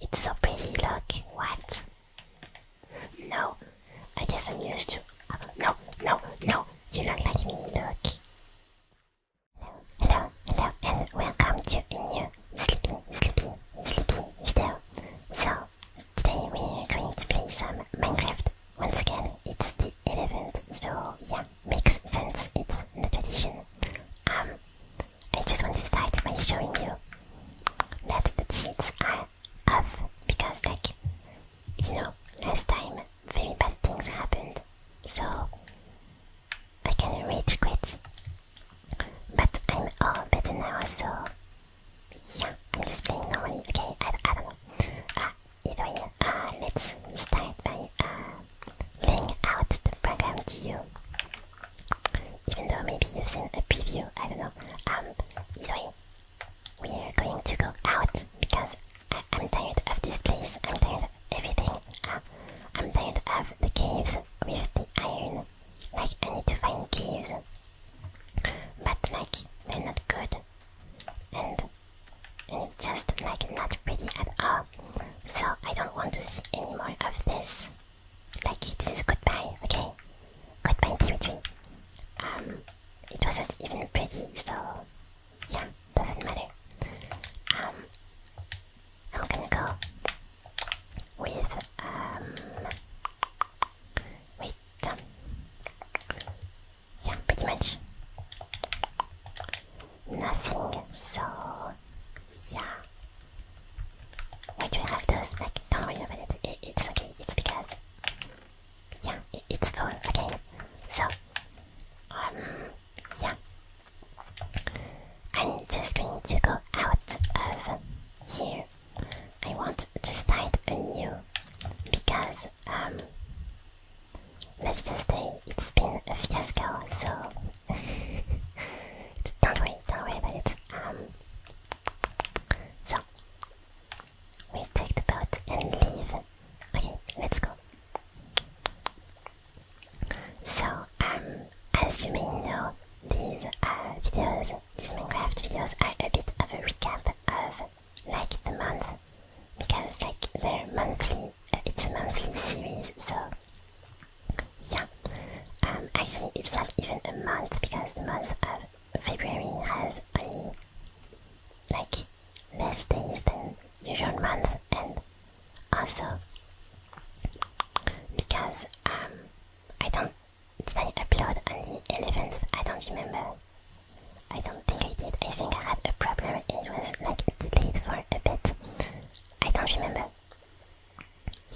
It's so pretty, look. What? No, I guess I'm used to. No, no, no, you look like me, look. Hello, hello, hello, and welcome to a new sleepy, sleepy, sleepy video. So, today we are going to play some Minecraft. Once again, it's the 11th, so yeah, makes sense, it's the tradition. Um, I just want to start by showing you that the cheats are off because like you know last time very bad things happened so I can rage quit but I'm all better now so yeah I'm just playing normally okay I, don't know uh, either way uh, let's start by playing uh, out the program to you even though maybe you've seen a preview, I don't know. Um, either way, we're going to go out because I am tired of this place. I'm tired of everything. Uh, I'm tired of the caves with the iron. Like, I need to find caves. But, like, they're not good. And, and it's just, like, not pretty at all. So, I don't want to see any more of this. Like, this is goodbye, okay? Goodbye, Dimitri. Um, it wasn't even pretty, so yeah, doesn't matter. Um, I'm gonna go with, um, with, um, yeah, pretty much nothing, so yeah. Why do you have those? Like, don't worry about it. it's okay. It's because. Yeah, it's full. Okay. So. Um. Yeah. I'm just going to go out of here. I want to start a new because um let's just say it's been a fiasco so don't worry, don't worry about it. Um, so we take the boat and leave. Okay, let's go. So, um, as you may know, these uh, videos, these Minecraft videos, are a bit of a recap of like the month because like they're monthly. Uh, it's a monthly series, so yeah, um, actually it's not even a month because the month of February has only like less days than usual month and also because um, I don't, did I upload on the 11th? I don't remember. I don't think I did. I think I had a problem. It was like delayed for a bit. I don't remember.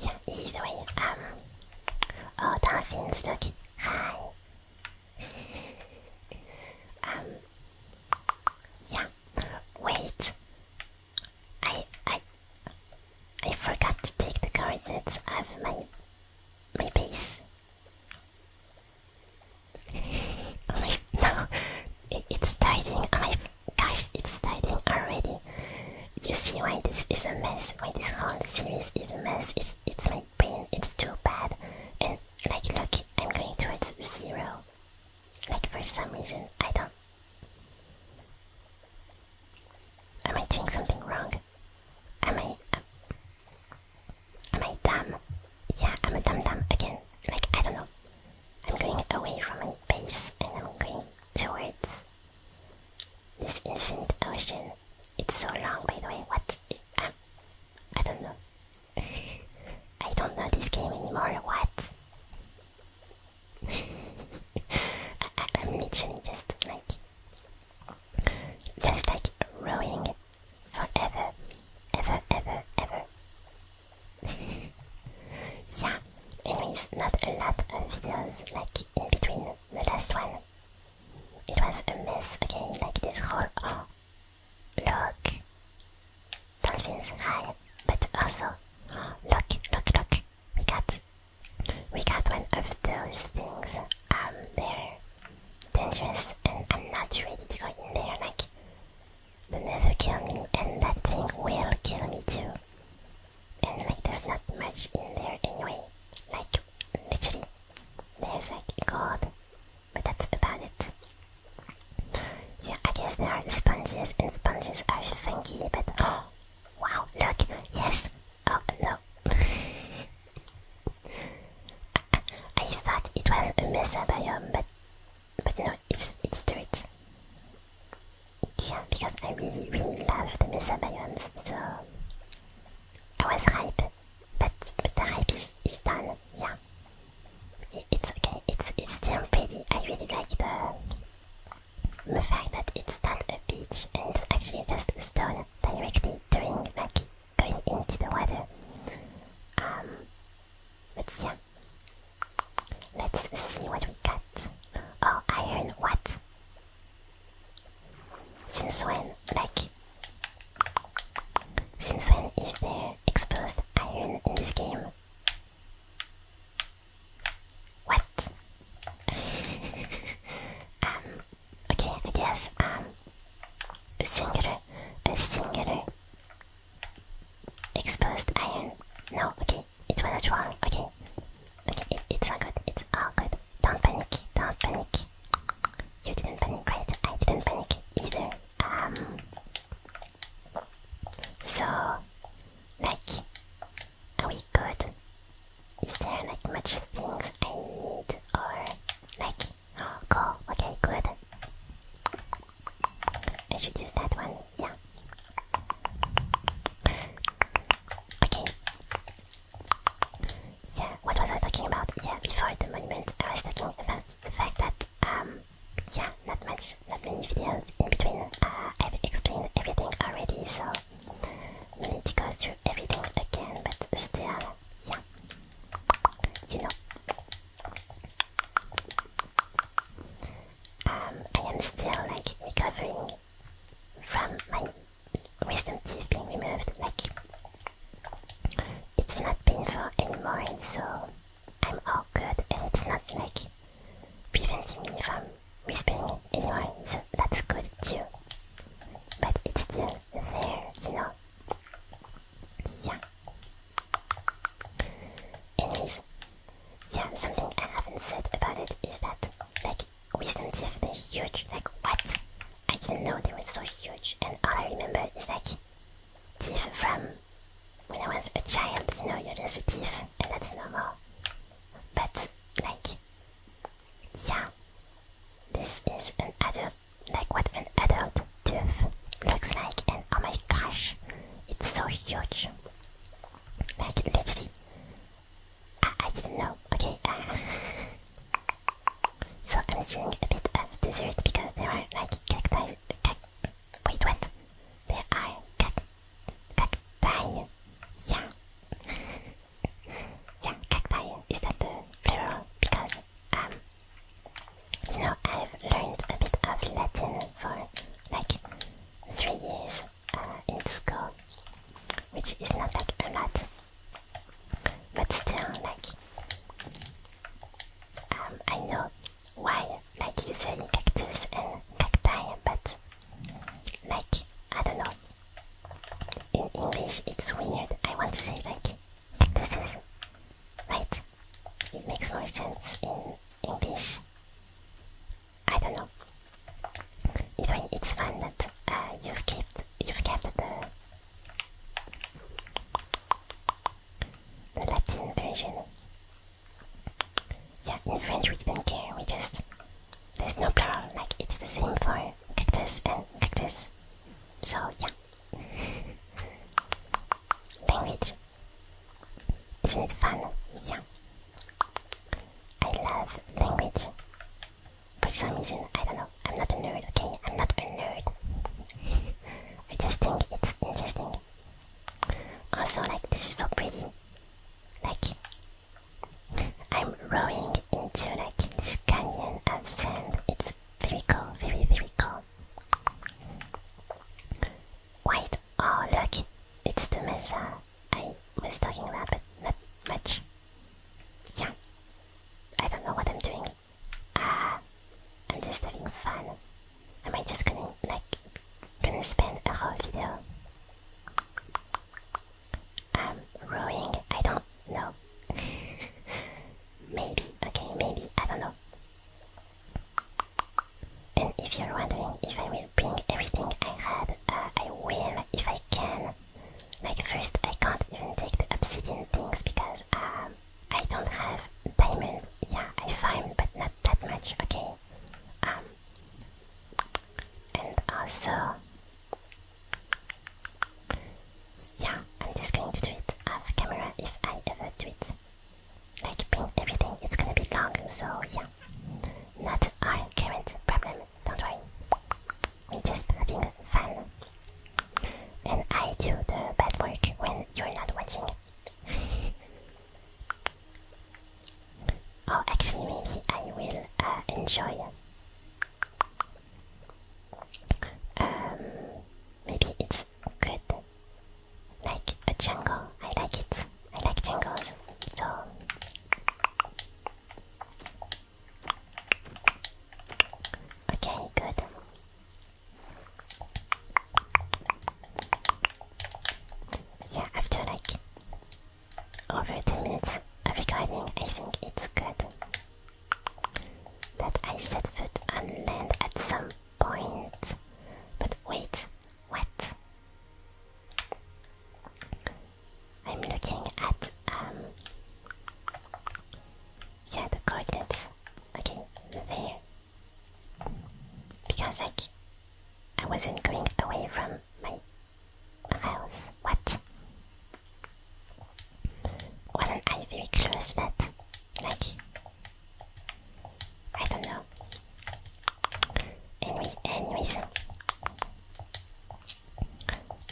Yeah, either way, um... Oh, dolphins, look. Hi. um... Yeah. Wait. I... I... I forgot to take the coordinates of my... my base. oh my, no, it's starting on my Gosh, it's starting already. You see why this is a mess, why this whole series is a mess. It's, it's my brain, it's too bad. And like look, I'm going towards zero. Like for some reason, I don't... Am I doing something wrong? Am I... Uh, am I dumb? Yeah, I'm a dumb-dumb again. Like, I don't know. I'm going away from my base and I'm going towards this infinite ocean. It's so long, by the way. What? Um, I don't know. I don't know this game anymore. What? I, am literally just like, just like rowing forever, ever, ever, ever. yeah. Anyways, not a lot of videos like in between the last one. It was a mess, again. like this whole... Oh, look! Dolphins, hi! But also, look, look, look! We got... We got one of those things. Um, they're dangerous and I'm not ready to go in there, like... The nether kill me and that thing will kill me too and like there's not much in there anyway. Like literally, there's like gold, but that's about it. Yeah, I guess there are sponges, and sponges are funky, but oh, wow, look, yes, oh no. I, thought it was a mess mesa biome, but but no, it's it's dirt. Yeah, because I really, really love the Mesa biomes, so I was hype, but, the hype is, is done, yeah. it's okay, it's, it's still pretty, I really like the, the fact that it's not a beach and it's actually just stone directly during, like, going into the water. Um, but yeah, let's see what we got. Oh, iron, what? Since when, like, since when is there exposed iron in this game? What? um, okay, I um, a singular, a singular exposed iron. No, okay, it's without war. Okay, okay, it's all good. It's all good. Don't panic. Don't panic. You didn't panic, Great. I didn't panic either. Um. So, like, are we good? Is there like much things I need or like? cool. Okay, good. I should use that one yeah. Okay. Yeah, what was I talking about? Yeah, before the monument, I was talking about the fact that, um, yeah, not much, not many videos in between. Uh, I've explained everything already, so no need to go through everything again, but still, yeah, you know. Um, I am still like recovering from my wisdom teeth being removed. Like, it's not painful anymore, and so I'm all good, and it's not like preventing me from whispering anymore, so that's good too. But it's still there, you know? Yeah. Anyways, yeah, something I haven't said about it is that like wisdom teeth, they're huge. Like what? I didn't know they were so huge. And all I remember is like teeth from when I was a child. You know, you're just with teeth, and that's normal. But like, yeah, this is an adult, like what an adult tooth looks like, and oh my gosh, it's so huge. Like literally, I, I didn't know. Okay. Uh, so I'm seeing a bit of dessert because there are like cacti. Cac Wait, what? There are cac cacti. Yeah. yeah, cacti. Is that the plural? Because um, you know, I've learned a bit of Latin for like three years, in school, which is not like a lot, but still like um, I know why like you say cactus and cacti, but like I don't know. In English, it's weird. I want to say like cactuses, right? It makes more sense in English. I don't know. Even it's fun that uh, you've kept you've kept the Latin version. Yeah, in French we didn't care. We just there's no plural. Like it's the same for cactus and cactus. So yeah. Language. is fun? Yeah. I love language. For some reason, I don't know. I'm not a nerd, okay? I'm not a nerd. I just think it's interesting. Also, like, this is so pretty. Like, I'm rowing into, like, this canyon of sand. It's very cool, very, very cool. Wait, oh look, it's the mesa. I was talking about, but not much. Yeah. I don't know what I'm doing. Uh, I'm just having fun. Am I just gonna, like, gonna spend a whole video? Um, rowing? I don't know. maybe, okay, maybe, I don't know. And if you're wondering if I will bring everything I had, uh, I will if I can. Like first I can't even take the obsidian things because um, I don't have diamonds. Yeah, I find, but not that much, okay. Um, and also, yeah, I'm just going to do it off camera if I ever do it. Like bring everything, it's gonna be long, so yeah. Not our current problem, don't worry. We're just having fun. And I do the bad work when you're not watching. oh, actually, maybe I will uh, enjoy. Um, maybe it's good. Like a jungle. I like it. I like jungles. Okay, good. Yeah, after like over 10 minutes of recording, I think it's good that I set foot on land at some point. But wait, what? I'm looking at um yeah the coordinates. Okay, there. Because like I wasn't going away from my house. What? Wasn't I very close to that? Like I don't know. Anyways,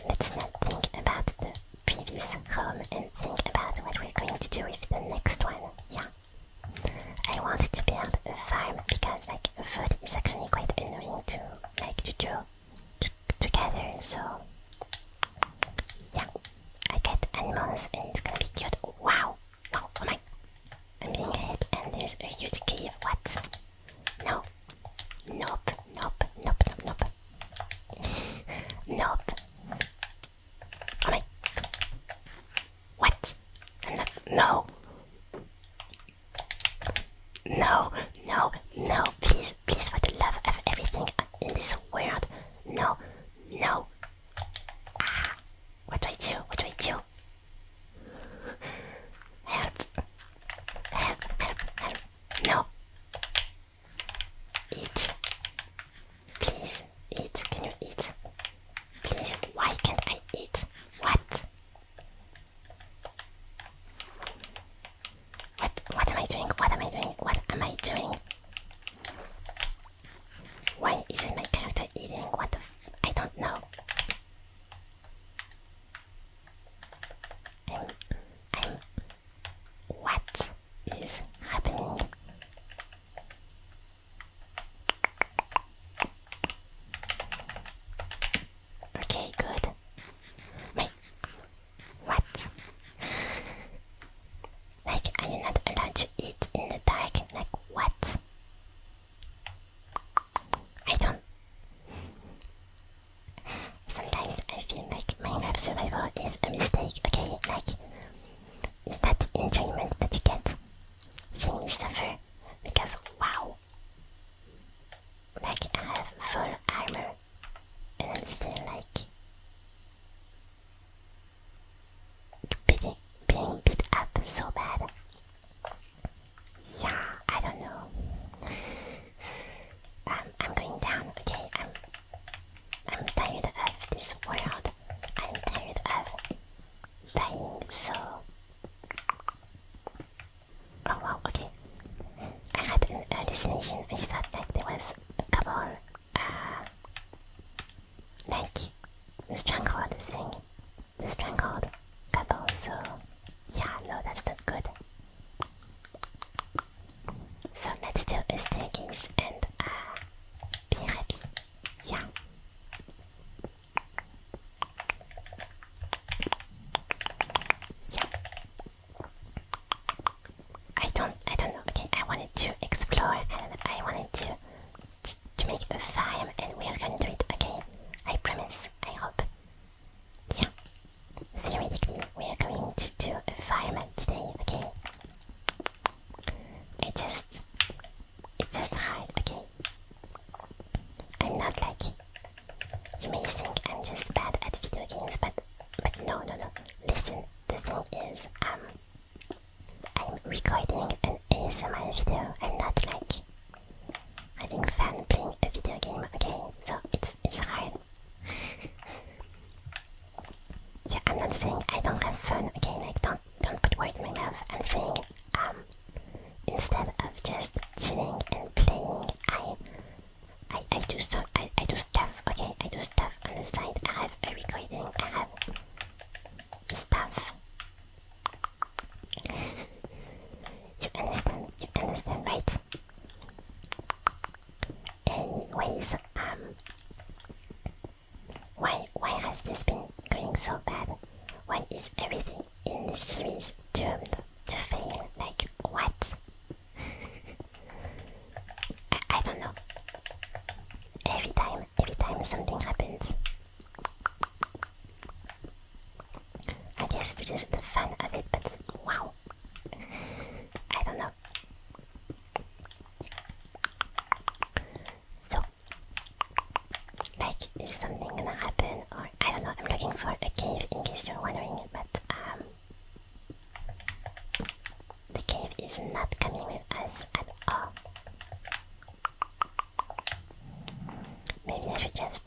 let's not think about the previous home and think about what we're going to do with the next one. Yeah, I wanted to build a farm because like food is actually quite annoying to like to do to, So yeah, I get animals and it's gonna be cute. Wow! Wow! Oh my! I'm being hit and there's a huge cave. What? No. Nope. Nope. Nope. Nope. Nope. nope. Oh my. What? I'm not. No. No. No. No. Please. Please, for the love of everything in this world. No. No. Ah. What do I do? What do I do? Help. Help, help, help. No. Eat. Please, eat. Can you eat? Please, why can't I eat? What? What what am I doing? What am I doing? What am I doing? Why isn't my character eating? What the I I don't know. I'm, I'm, what is happening? Okay, good. Wait, what? like, are you not allowed to eat in the dark? Like, what? I don't. Sometimes I feel like Minecraft survival is a mistake, okay? Like, is that the enjoyment that you get? Seeing me suffer? Because, wow. Like, I have full armor, and I'm still like. being beat up so bad. Yeah, I don't know. I'm going down. Okay, I'm. I'm tired of this world. I'm tired of dying. So. Oh wow. Okay. I had an hallucination which felt like there was a couple, uh, like, stronghold thing the strangled couple. So, Yeah, no, that's not good. So let's do a and uh, be happy. Yeah. Yeah. I don't. I don't know. Okay, I wanted to explore and I wanted to to make a farm, and we are gonna do it. Okay, I promise. I hope yeah, theoretically we are going to do a fireman today, okay? It just, it's just hard, okay? I'm not like, you may think I'm just bad at video games, but, but no, no, no, listen, the thing is, um, I'm recording an ASMR video, I'm not like having fun playing a video game, okay? So it's it's hard. yeah, I'm not saying I don't have fun, okay? Like don't don't put words in my mouth. I'm saying um instead of just chilling and playing, I I I do so I I do stuff, okay? I do stuff on the side. I have a recording. I have stuff you understand, you understand, right? Anyways, um, why why has this been going so bad? Why is everything in this series doomed to fail? Like what? I, I don't know. Every time, every time something happens, I guess this is the fun of it, but wow. I don't know. So, like, is something gonna happen? Or, I don't know, I'm looking for a cave in case you're wondering, but, um, the cave is not coming with us at all. Maybe I should just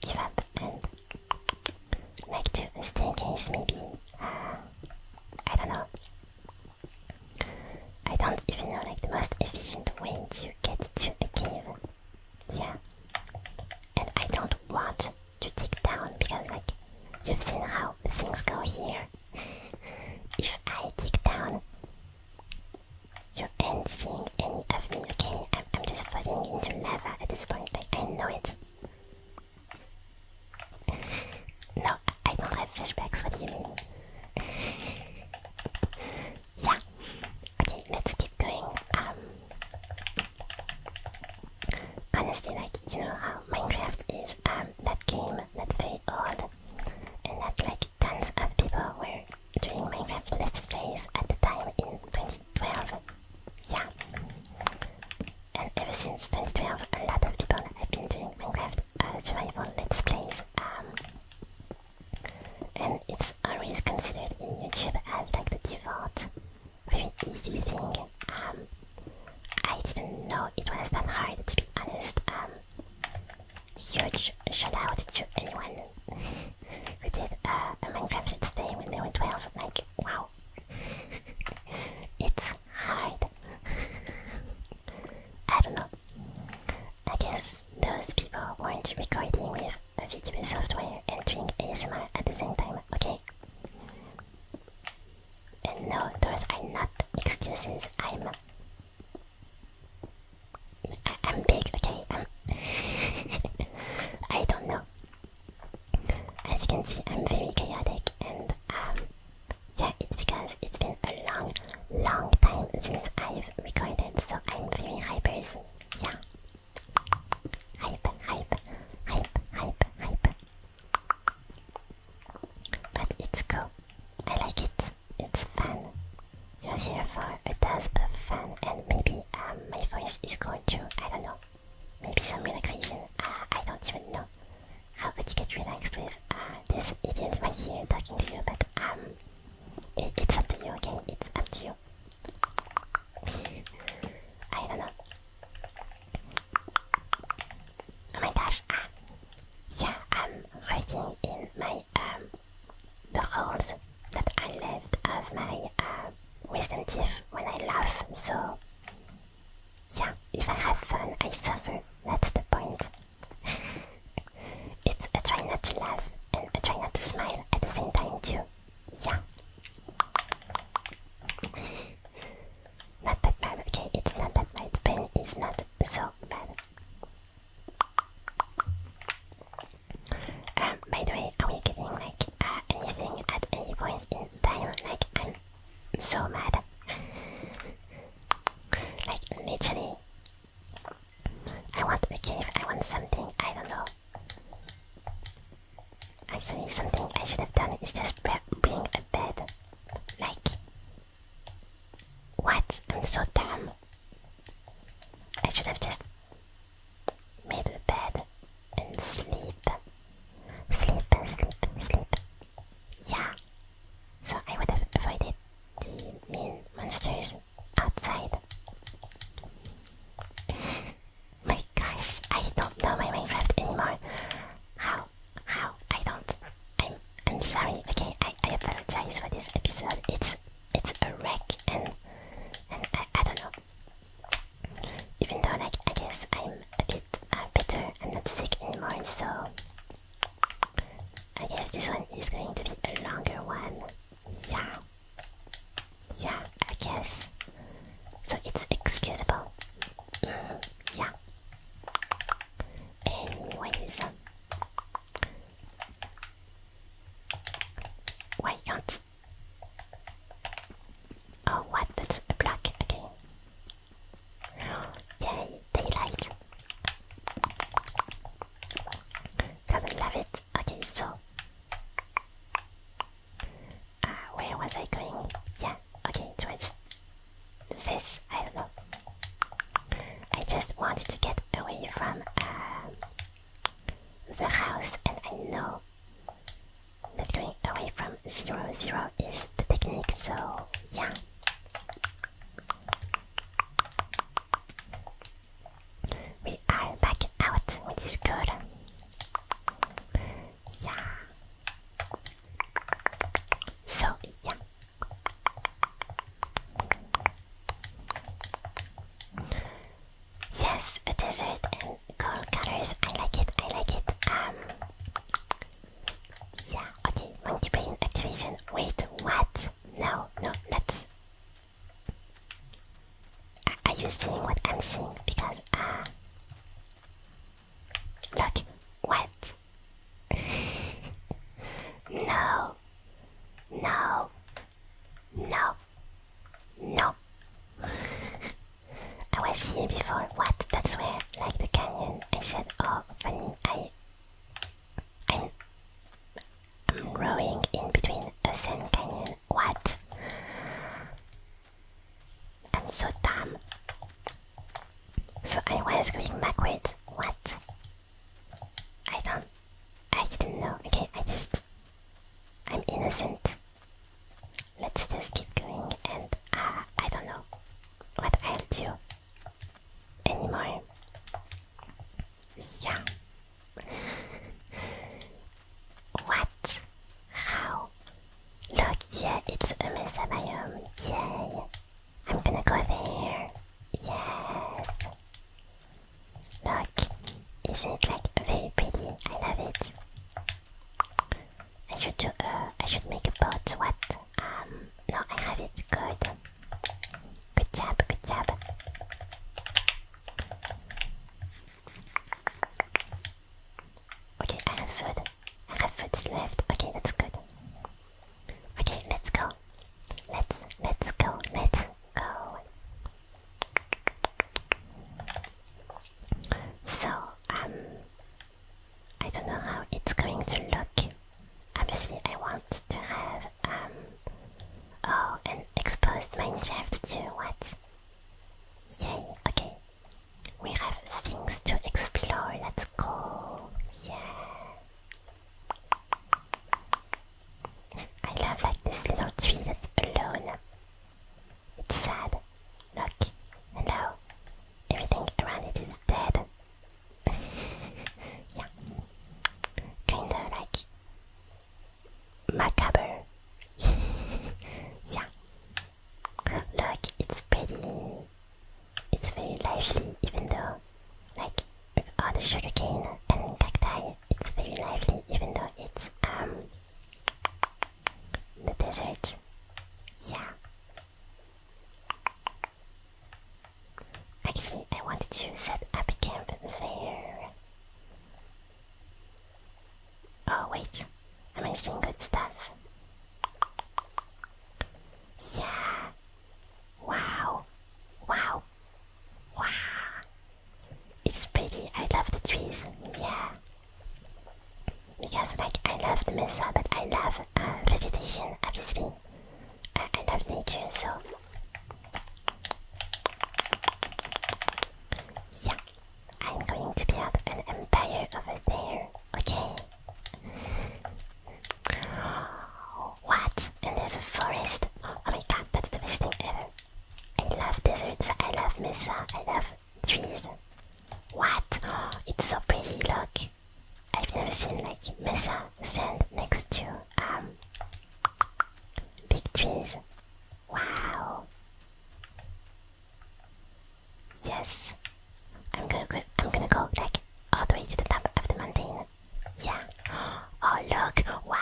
give up and like to a staircase maybe. Uh, I don't know. I don't even know like the most efficient way to get to the cave. Yeah. And I don't want to dig down because like you've seen how things go here. if I dig down your end seeing any of me, okay? I'm, I'm just falling into lava at this point, like, I know it. No, I don't have flashbacks, what do you mean? yeah. Okay, let's keep going. Um, honestly, like, you know how Minecraft is um, that game that's very old and that's like, tons of people were doing Minecraft Let's Plays at the time in 2012. Yeah. And ever since 2012, a lot of people have been doing Minecraft uh, Survival Let's Plays. Um, and it's always considered in YouTube as like the default, very easy thing. Um, I didn't know it was that hard to be honest. Um, huge shout out to anyone We did uh, a Minecraft Let's Play when they were 12. Like, wow. it's hard. I don't know. I guess those people weren't recording with a video software and doing ASMR at the same time, okay? And no, those are not excuses. I'm I am big, okay? I'm I do not know. As you can see, I'm very chaotic and um, yeah, it's because it's been a long, long time since I've recorded, so I'm very hypers. Yeah. Hype, hype, hype, hype, hype. But it's cool. I like it it's fun. You're here for a dose of fun and maybe um, my voice is going to, I don't know, maybe some relaxation, uh, I don't even know. How could you get relaxed with uh, this idiot right here talking to you, but um, it's up to you, okay? It's up to you. I don't know. Oh my gosh, ah. yeah, I'm hurting in my um, the holes that I left of my uh, wisdom teeth when I laugh. So, yeah, if I have fun, I suffer. That's the point. it's a try not to laugh and a try not to smile at the same time, too. Yeah. Not that bad, okay? It's not that bad. Pain is not so bad. Um, by the way, are we getting like uh, anything at any point in time? Like, I'm so mad. like, literally, I want a cave, I want something, I don't know. Actually, something I should have done is just bring a bed. Like, what? I'm so dumb. I should have just middle bed and sleep. Sleep, sleep, sleep. Yeah. So I would have avoided the mean monsters outside. my gosh, I don't know my Minecraft anymore. How? How? I don't. I'm I'm sorry. Okay, I, I apologize for this episode. It's it's a wreck and and I, I don't know. Even though like I guess I'm a bit uh, better, I'm not sick anymore, so I guess this one is going to be a longer one. Yeah. Yeah, I guess. So it's excusable. Mm, yeah. Anyways. Why can't? Oh, what? That's a block. Okay. Yay, daylight. Come love it. Okay, so. Uh, where was I going? Yeah, okay, it was this. I don't know. I just wanted to get away from um, the house and I know that going away from zero zero is the technique, so yeah. We are back out, which is good. Yeah. So yeah. Yes, a desert and coral colors. I like it. I like it. Um. Yeah. Okay. Monkey brain activation. Wait. What? No. No. Let's. are you seeing what I'm seeing? Because uh. Look. What? no. No. No. No. I was here before. What? That's where, like the canyon. I said, oh, funny. I, I'm, I'm growing in between a sand canyon. What? I'm so dumb. So I was going backwards. What? I don't. I didn't know. Okay, I just. I'm innocent. Let's just keep going and. Uh, I don't know what I'll do anymore. Yeah. what? How? Look, yeah, it's a mesa biome. Yay. I'm gonna go there. Yes. Look, isn't it like very pretty? I love it. I should do uh, I should make a boat. What? Um, no, I have it. Good. Good job. Good job. Okay, I have food. I have food left. Okay, that's good. Okay, let's go. Let's let's go. Let's go. So, um, I don't know how it's going to look. Obviously, I want to have, um, oh, an exposed mineshaft too, what? Yay, okay. We have things to explore, let's go. Yeah. I love like this little tree that's alone. It's sad. Look, hello. Everything around it is dead. yeah. Kind of like macabre. yeah. Look, it's pretty. It's very lively, even though, like, with all the sugarcane and cacti, it's very lively even though it's um the desert. Yeah. Actually, I wanted to set up a camp there. Oh wait, am I good stuff? Yeah. Wow. Wow. Wow. It's pretty. I love the trees. Yeah. Because like I love the mesa, but I love uh, vegetation, obviously. Uh, I, love nature, so yeah, I'm going to build an empire over there. Okay. What? In this forest. Oh my god, that's the best thing ever. I love deserts, I love mesa, I love trees. What? it's so pretty, look. I've never seen like mesa sand next to um big trees. Wow. Yes. I'm gonna go I'm gonna go like all the way to the top of the mountain yeah. Oh look! Wow!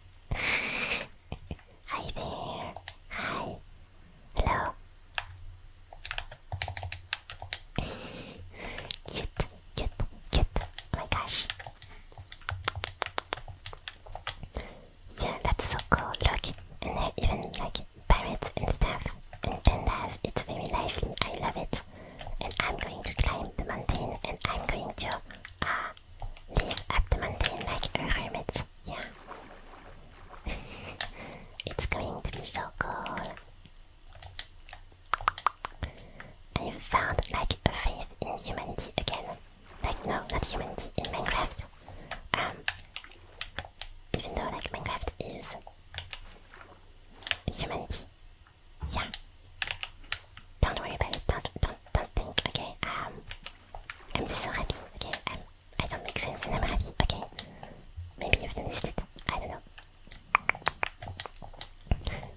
Hi there. Hi. Hello. Cute, cute, cute. Oh my gosh. Yeah, that's so cool. Look, and there are even like parrots and stuff and pandas. It's very lively. I love it. And I'm going to climb the mountain and I'm going to uh, live up the mountain like a hermit. Yeah. it's going to be so cool. I found like a faith in humanity again. Like no, not humanity in Minecraft. Um, even though like Minecraft is humanity. Yeah. Don't worry about it. Don't don't don't think. Okay. Um, I'm just so happy. Okay. I'm. Um, I do not make sense, and I'm happy. Okay. Maybe you've noticed it. I don't know.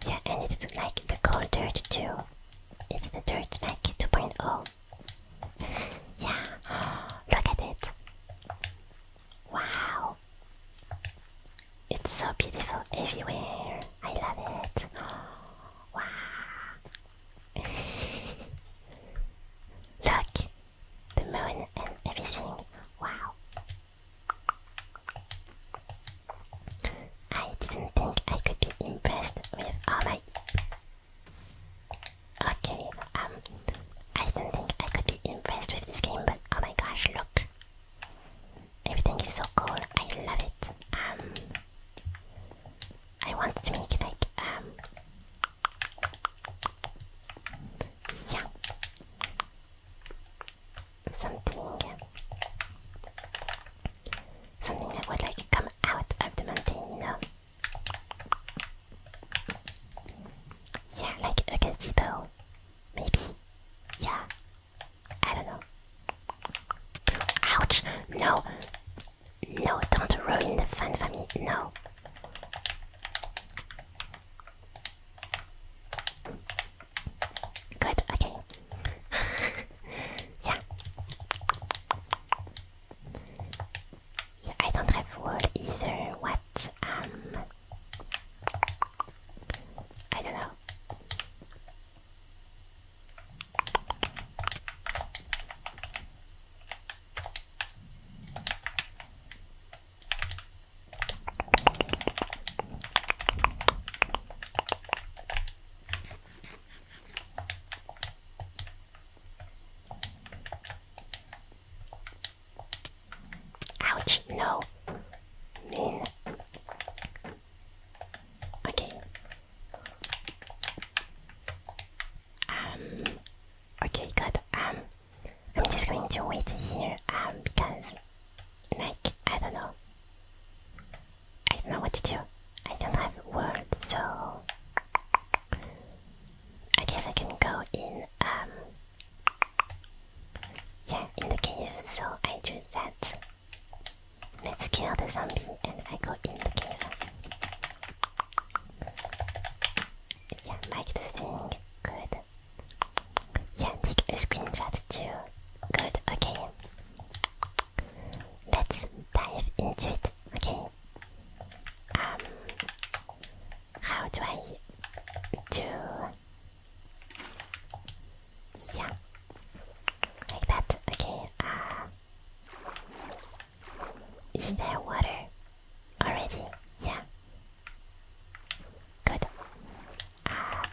Yeah, and it's like the cold dirt too. It's the dirt like 2.0. Yeah. Look at it. Wow. It's so beautiful everywhere. I love it. Wow. Look, the moon and everything. Wow. I didn't think I could be impressed with all my. Okay, um, I didn't think I could be impressed with this game, but oh my gosh, look. Everything is so cool. I love it. Um, I want to make like um, yeah, something, something that would like come out of the mountain, you know. Yeah, like a gazebo, maybe. Yeah, I don't know. Ouch! No! No, don't ruin the fun for me, no! Good, okay. yeah. yeah. I don't have wool either, what? Um. I don't know. Ouch, no. Mean. Okay, um, okay, good. Um, I'm just going to wait here, um, because, like, I don't know. I don't know what to do. I don't have words, so... I guess I can go in, um... Yeah, in the cave, so I do that. Let's kill the zombie and I go in the cave. Yeah, like the thing. Good. Yeah, take a screenshot too. Good, okay. Let's dive into it, okay? Um, how do I do? Yeah, like that. Okay. Uh, is there water already? Yeah. Good. Uh,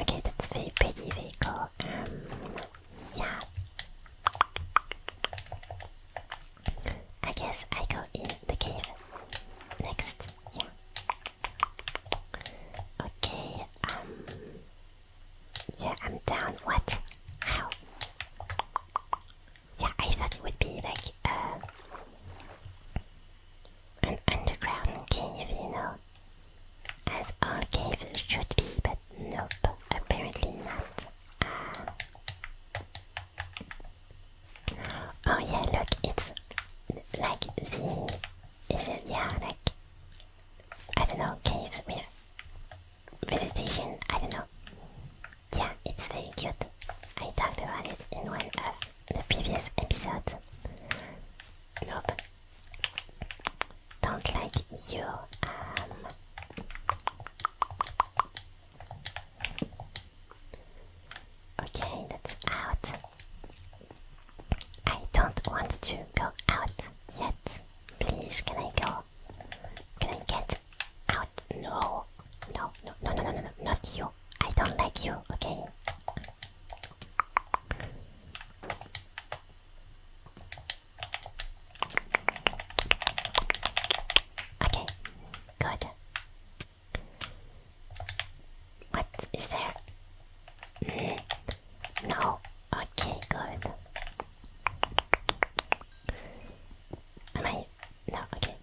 okay, that's very pretty vehicle. Um, yeah. I guess I go in the cave next. Okay, um yeah, I'm down. What? How? Yeah, I thought it would be like uh, an underground cave, you know, as all caves should be, but nope, apparently not. Uh, oh yeah, look, it's like the is it yeah like I don't know caves with vegetation I don't know yeah it's very cute I talked about it in one of the previous episodes nope don't like you um okay that's out I don't want to go out yet. Please, can I go? Can I get out? No. No, no, no, no, no, no, no, not you. I don't like you, okay? Okay, good. What is there? Mm. No. Okay, good. Am I? No, okay.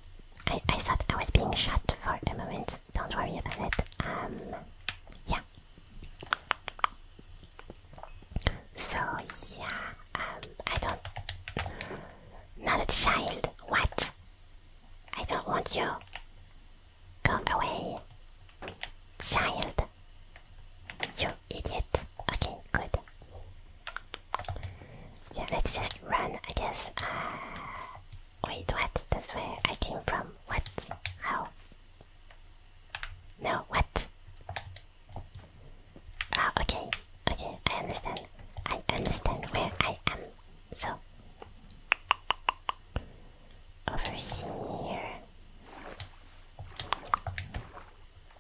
I, I thought I was being shot for a moment. Don't worry about it. Um, yeah. So, yeah, um, I don't... Not a child, what? I don't want you. Go away! Child! You idiot! Okay, good. Yeah, let's just run, I guess. Uh, wait, what? That's where I came from. What? How? No, what? Ah, okay. Okay, I understand. I understand where I am. So, over here.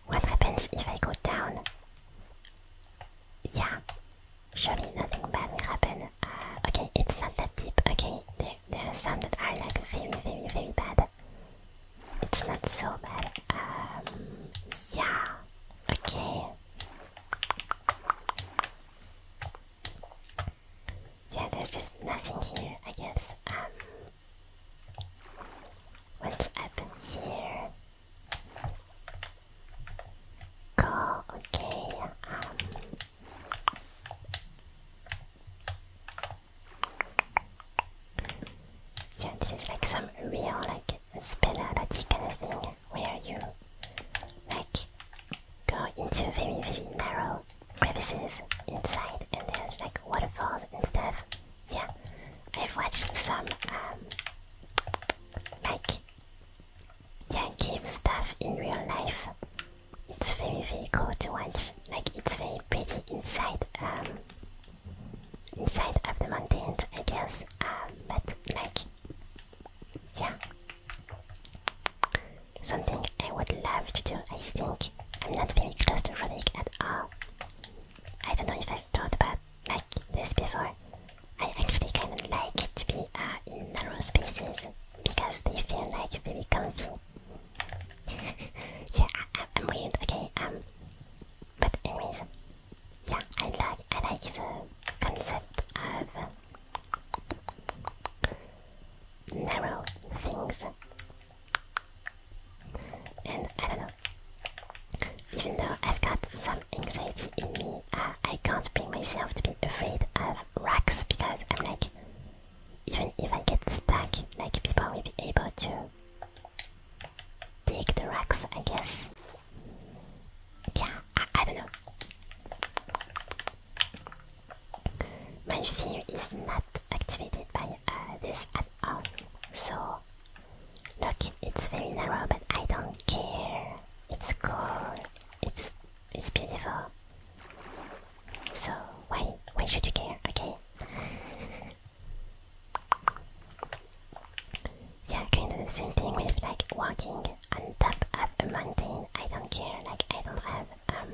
What happens if I go down? Yeah, surely nothing bad will happen. Uh, okay, it's not that deep. Okay, there, are some that are like very, very, very bad. It's not so bad. Um, yeah, okay. Yeah, there's just nothing here, I guess. Um, what's up here? Cool, okay. yeah, um, this is like some real, like, spin kind of thing where you, like, go into very, very narrow crevices inside, and there's like waterfalls and stuff. Yeah, I've watched some, um, like, yeah, game stuff in real life. It's very, very cool to watch. Like, it's very pretty inside, um, inside of the mountains, I guess. Um, but like, yeah, Something I would love to do, I think. I'm not very close to running at all. I don't know if I've thought about like this before. I actually kind of like to be uh, in narrow spaces because they feel like very comfy. yeah, I, I'm weird, okay, um, but anyways, yeah, I like, I like the concept of narrow things. And I don't know. Even though I've got some anxiety in me, uh, I can't bring myself to be afraid of rocks because I'm like, even if I get stuck, like people will be able to take the rocks, I guess. Yeah, I don't know. My fear is not activated by uh, this at all. So, look, it's very narrow, but I don't care. It's cool. It's it's beautiful. So why why should you care? Okay. Yeah, can do the same thing with like walking on top of a mountain. I don't care. Like I don't have um,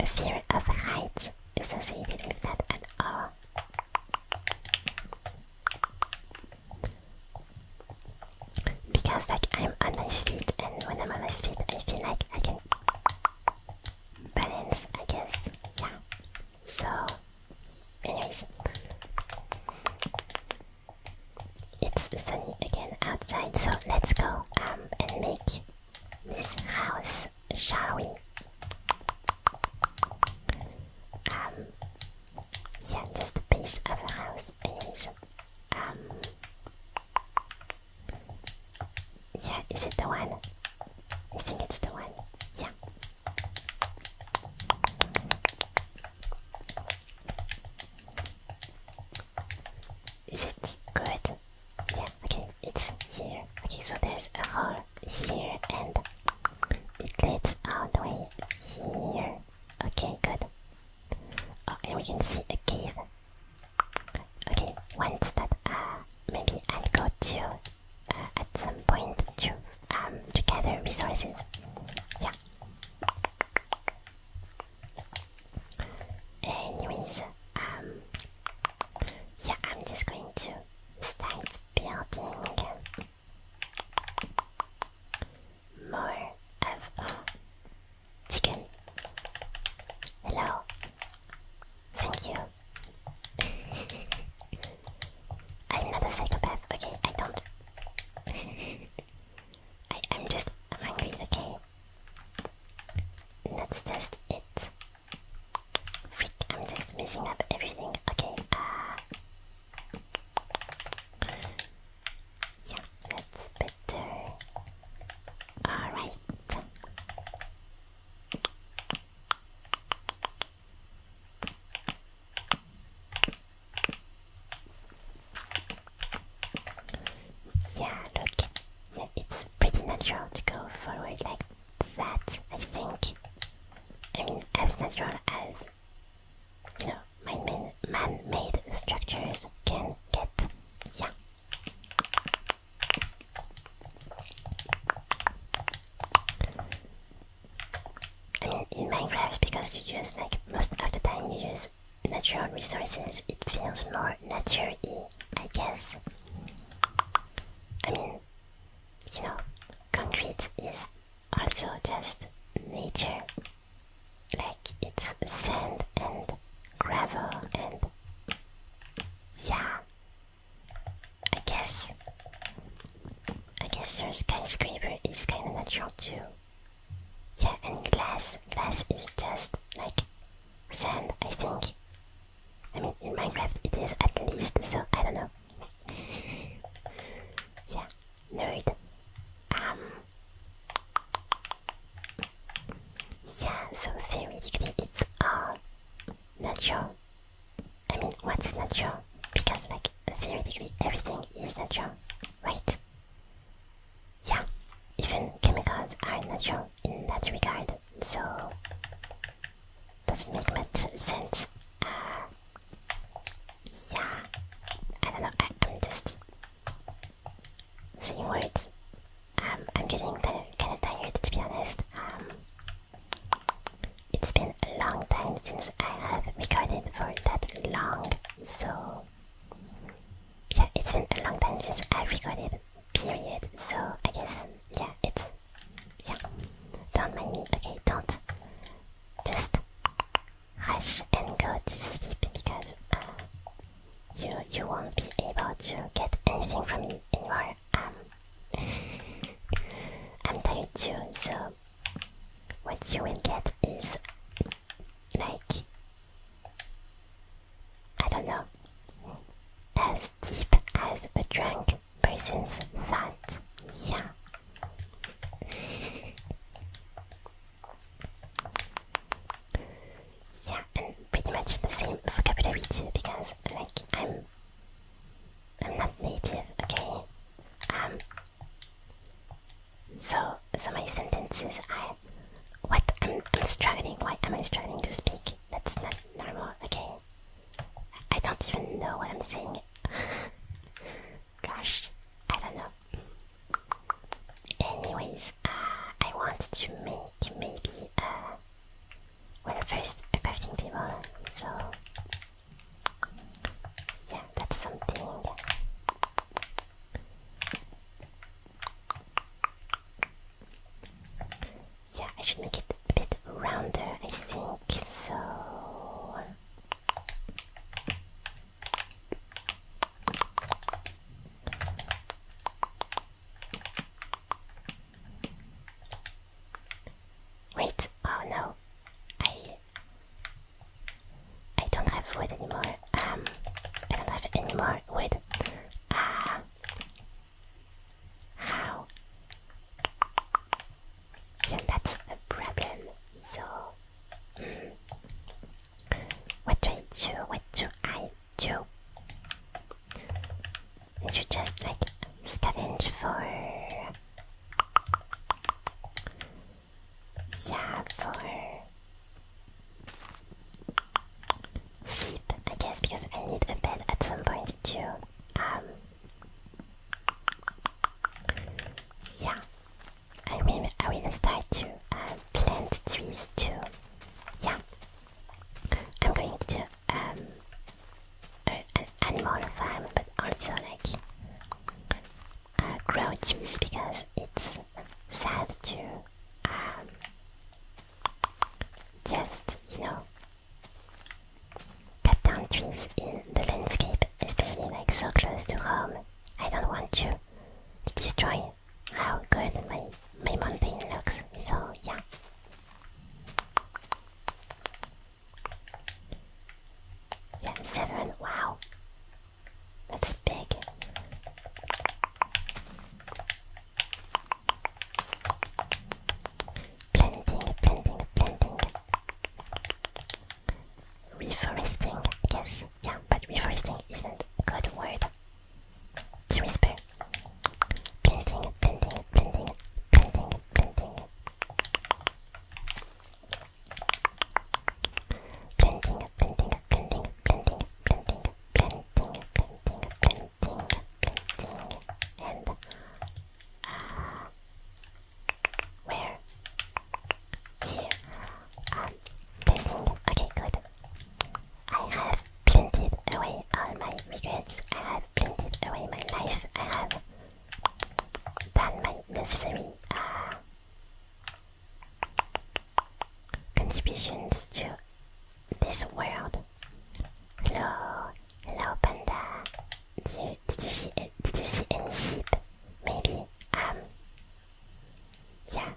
a fear of heights associated with that at all. Because like I'm on my feet and when I'm on my feet I feel like I can balance I guess. Yeah. So anyways it's sunny again outside so let's go um and make this house, shall we? Um, yeah, just a piece of a house, anyways. Um, yeah, is it the one? You think it's the one. Yeah. Is it good? Yeah, okay, it's here. Okay, so there's a hole here and it leads all the way here. Okay, good. Oh, and we can see a cave. Okay, once that, uh, maybe I'll go to, uh, at some point to, um, to gather resources. Yeah. Anyways, um, yeah, I'm just going to start building more of chicken. Hello, thank you. I'm not a psychopath, okay? I don't. I, I'm just hungry, okay? that's just it. Freak, I'm just messing up everything. Okay, uh, Yeah, that's better. Alright. Yeah, look, it's pretty natural to go forward like that, I think. I mean, as natural as, you know, man-made structures can get. Yeah. I mean, in Minecraft, because you use, like, most of the time you use natural resources, it feels more natural, I guess. I mean, you know, concrete is also just nature. Like, it's sand and gravel and... Yeah. I guess... I guess your skyscraper is kinda natural too. Yeah, and glass. Glass is just, like, sand, I think. I mean, in Minecraft it is at least, so I don't know. yeah, nerd. Um. Yeah, so theoretically it's all uh, natural. I mean, what's natural? Because, like, theoretically everything is natural, right? yeah, even chemicals are natural in that regard, so doesn't make much sense. Uh, yeah, I don't know, I, am just saying words. Um, I'm getting kind of tired to be honest. Um, it's been a long time since I have recorded for that long, so yeah, it's been a long time since I recorded period. So I guess yeah, it's yeah. Don't mind me, okay? Don't just hush and go to sleep because uh, you you won't be able to get anything from me um, anymore. I'm tired too, so what you will get is like I don't know, as deep as a drunk person's thoughts. Yeah. yeah, and pretty much the same vocabulary too, because like I'm, I'm not native, okay. Um. So, so my sentences are what? I'm, struggling. Why am I struggling to speak? That's not normal. Okay. I don't even know what I'm saying. Gosh, I don't know. Anyways, uh, I want to make maybe uh, well first a crafting table. So yeah, that's something. Yeah, I should make it a bit rounder, I think, so... Wait, oh no, I... I don't have wood anymore, um, I don't have any wood. Uh, how? Yeah, that's a problem. So, mm, what do I do? What do I do? And just like scavenge for. Yeah, for Sleep, I guess, because I need a bed at some point too. Um, yeah, I will. I will start to uh, plant trees too. Yeah, I'm going to do um a, an animal farm, but also like uh, grow trees because it's sad to um just, you know, cut down trees in the landscape, especially like so close to home. I don't want to, to destroy how good my, my mountain looks, so yeah. Yeah, seven, wow. That's big. Planting, planting, planting. Reforesting, yes, yeah, but reforesting isn't a good word to whisper. Planting, planting, planting, planting, planting. Planting, planting, painting, painting, painting, painting, painting, painting, painting, and uh, where? Here. Um, painting. Okay, good. I have painted away all my regrets. I have painted away my life. I have done my necessary uh, contributions to this world. Hello, hello, panda. Did you see Did you see any sheep? Maybe. Um. Yeah.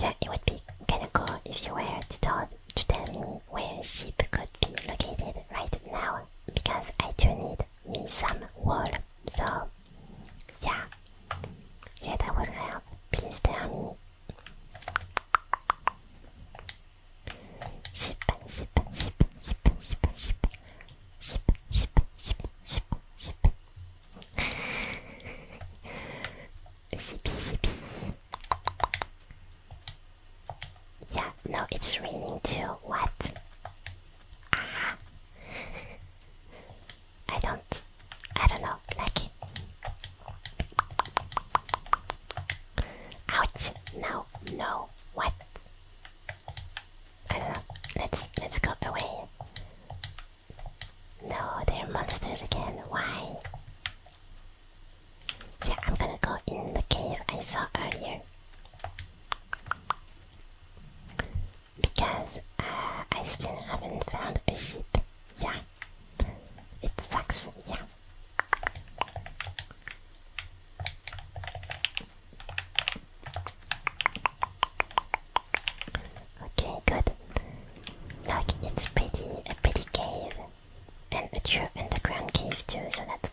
Yeah, it would be kinda cool if you were to tell to tell me where sheep could be located right now, because I do need me some wool. So, yeah. Yeah, that would help. Please tell me. Ship, Yeah, no, it's raining too. What? Ah. I don't. I don't know. Like. Ouch! No, no. What? I don't know. Let's let's go away. No, they're monsters again. Why? Yeah, I'm gonna go in the cave I saw earlier. Because uh, I still haven't found a sheep. Yeah yeah. It sucks, Okay, good. Look, it's pretty a pretty cave. And a true underground cave too, so that's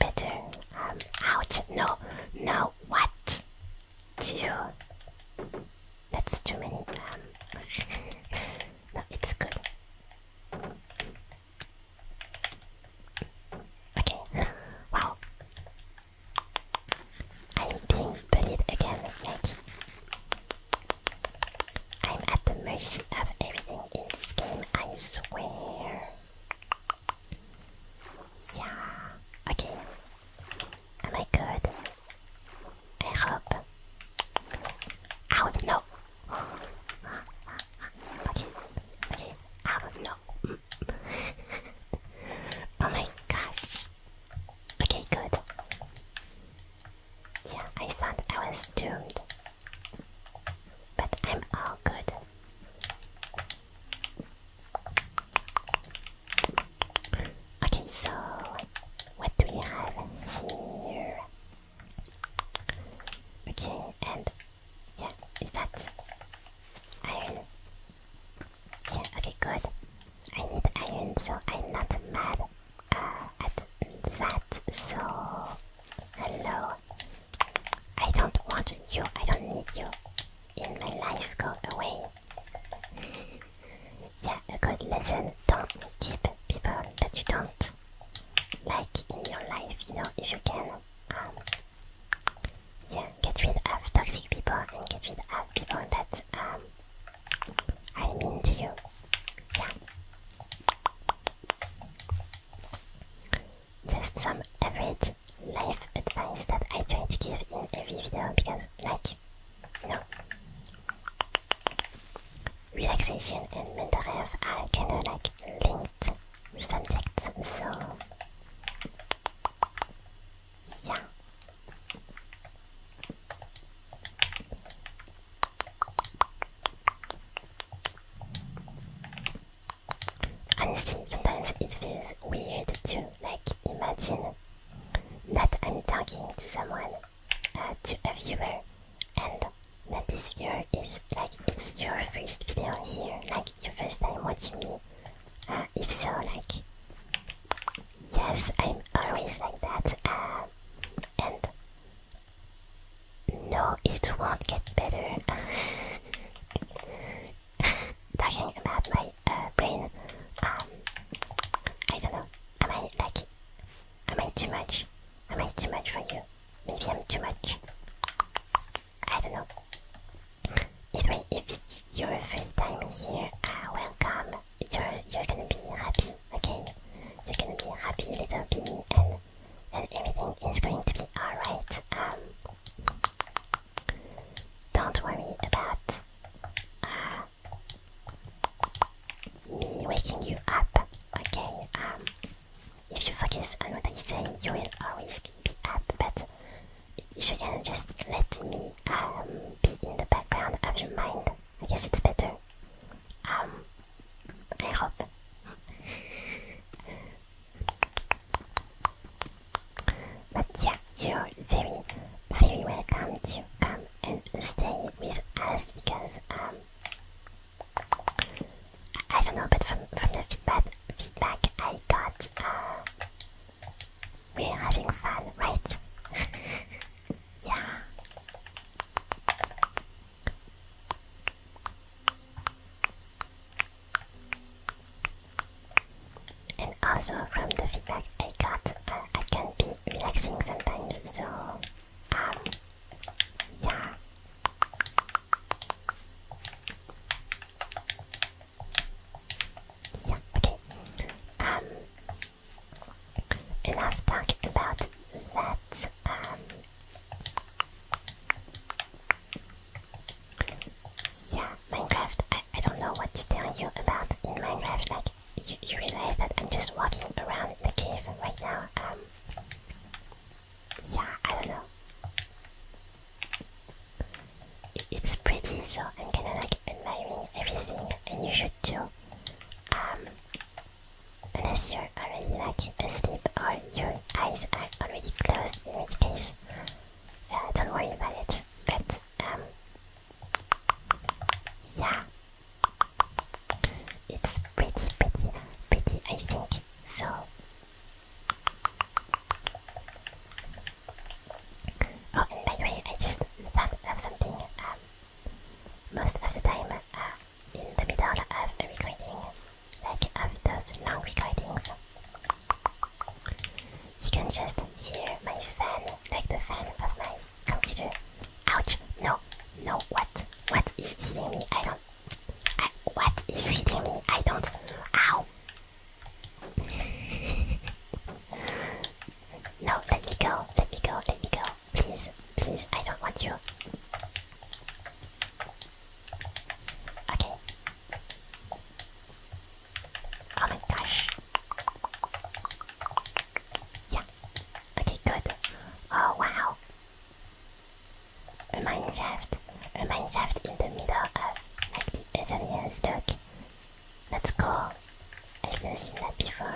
better. Um, ouch. No, no, what? Do you that's too many. Um, no, it's good. Okay, wow. I'm being bullied again, like... I'm at the mercy of everything in this game, I swear. Yeah, okay, Am I good? I hope. I Ow, know. Okay, okay. Ow, know. oh my gosh. Okay, good. Yeah, I thought I was doomed. But I'm all good. Okay, so what do we have here? Okay, and yeah, is that iron? Yeah, okay, good. I need iron, so I'm not mad uh, at that. So, hello. I don't want you, I don't need you in my life. Go away yeah, a good lesson. Don't meet cheap people that you don't like in your life, you know, if you can. Um, yeah, get rid of toxic people and get rid of people that um, are mean to you. Yeah. Just some average life advice that I try to give in every video because, like, energy. No. Relaxation and mental health are kind of like linked subjects, so yeah. Honestly, sometimes it feels weird to like imagine that I'm talking to someone to a viewer and that this viewer is like it's your first video here like your first time watching me uh, if so like yes i'm always like that uh, and no it won't get better talking about my uh, brain. Um, I don't know. Am I like? Am I too much? Am I too much for you? Maybe I'm too much. I don't know. if it's your first time here, uh, welcome. You're you're gonna be happy, okay? You're gonna be happy little beanie, and and everything is going to be alright. Um, don't worry about uh, me waking you up. Okay, um, if you focus on what I say, you will always be up, but if you can just let me um, be in the background of your mind, I guess it's better. Um, I hope. but yeah, you're very, very welcome to come and stay with us because um, I don't know, but from from the feedback feedback I got, uh, we're having fun, right? yeah. And also from the feedback I got, uh, I can be relaxing sometimes, so um yeah. Yeah, okay. Um enough talking about that. Um yeah, Minecraft. I, I don't know what to tell you about in Minecraft. Like, you, realize that I'm just walking around the cave right now. Um, yeah, I don't know. It's pretty, so I'm kind of like admiring everything, and you should too. Um, unless you're already like asleep or your eyes are already closed, in which case, uh, don't worry about it. But um, yeah, it's pretty, pretty, pretty, I think. So, oh, and by the way, I just thought of something. Um, most of the time, uh, in the middle of a recording, like of those long recordings, you can just hear my fan, like the fan of my computer. Ouch! No, no. What? What is hitting me? I don't. what is hitting me? I don't. Ow! no, let me go. Let me go. Let me go. Please, please. I don't want you. Okay. Oh my gosh. Yeah. Okay, good. Oh wow. A mine shaft. A mine in the middle of like the Azalea's dock. That's cool. I've never seen that before.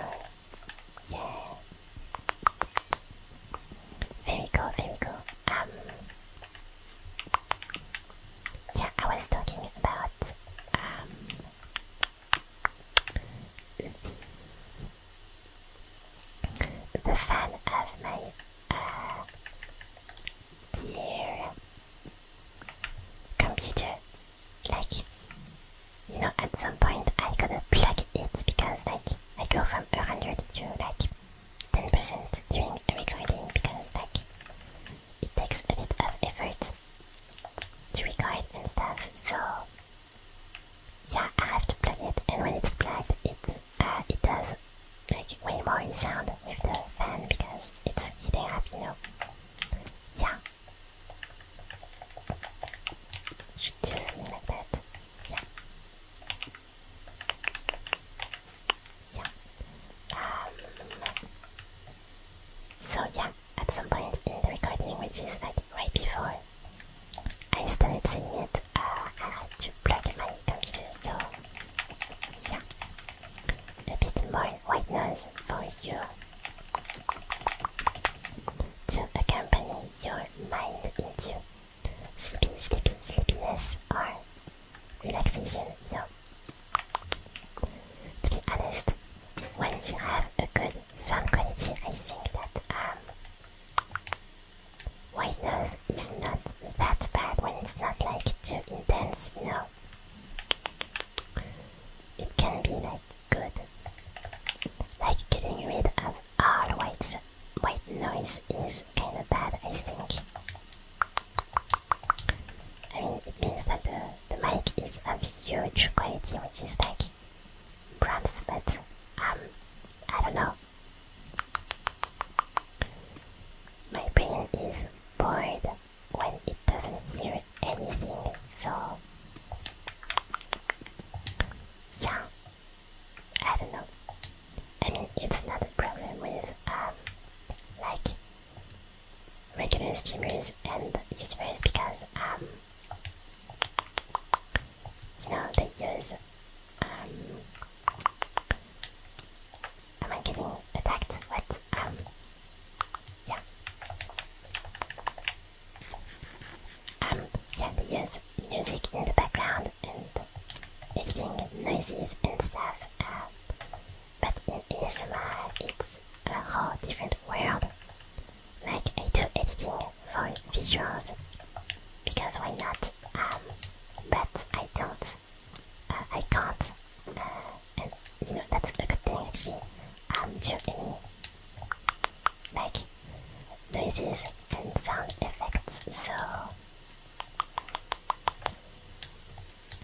Yeah. Very cool, very cool. Um Yeah, I was talking about um, Oops. The fan of my uh, dear computer. Like, you know, at some point I gotta plug it because, like, I go from 100 to like 10% during a recording because, like, it takes a bit of effort different to and stuff, so yeah, I have to plug it, and when it's plugged, it, uh, it does like way more sound with the fan because it's heating up, you know. Yeah. Should do something like that. Yeah. Yeah. Um, so yeah, at some point in the recording, which is like right before, I started saying it, uh, I had to plug my computer, so yeah, a bit more white noise for you to accompany your mind into sleepy, sleepy, sleepiness or relaxation, you know. To be honest, once you have a good sound quality, I think that um, white noise is not that bad when it's not like too intense, No, It can be like good, like getting rid of all white white noise is kind of bad, I think. I mean, it means that the the mic is of huge quality, which is like Brunsmith. Um, I don't know. My brain is bored when it doesn't hear anything, so yeah, I don't know. I mean, it's not a problem with um, like regular streamers and YouTubers because um, you know, they use. Um, am I getting attacked? What? Um, yeah. Um, yeah, they use music in the background and making noises and stuff. Um, but in ASMR, it's a whole different world like I do editing for visuals because why not? Um, but I don't, uh, I can't, uh, and you know that's a good thing actually. I'm um, any like noises and sound effects, so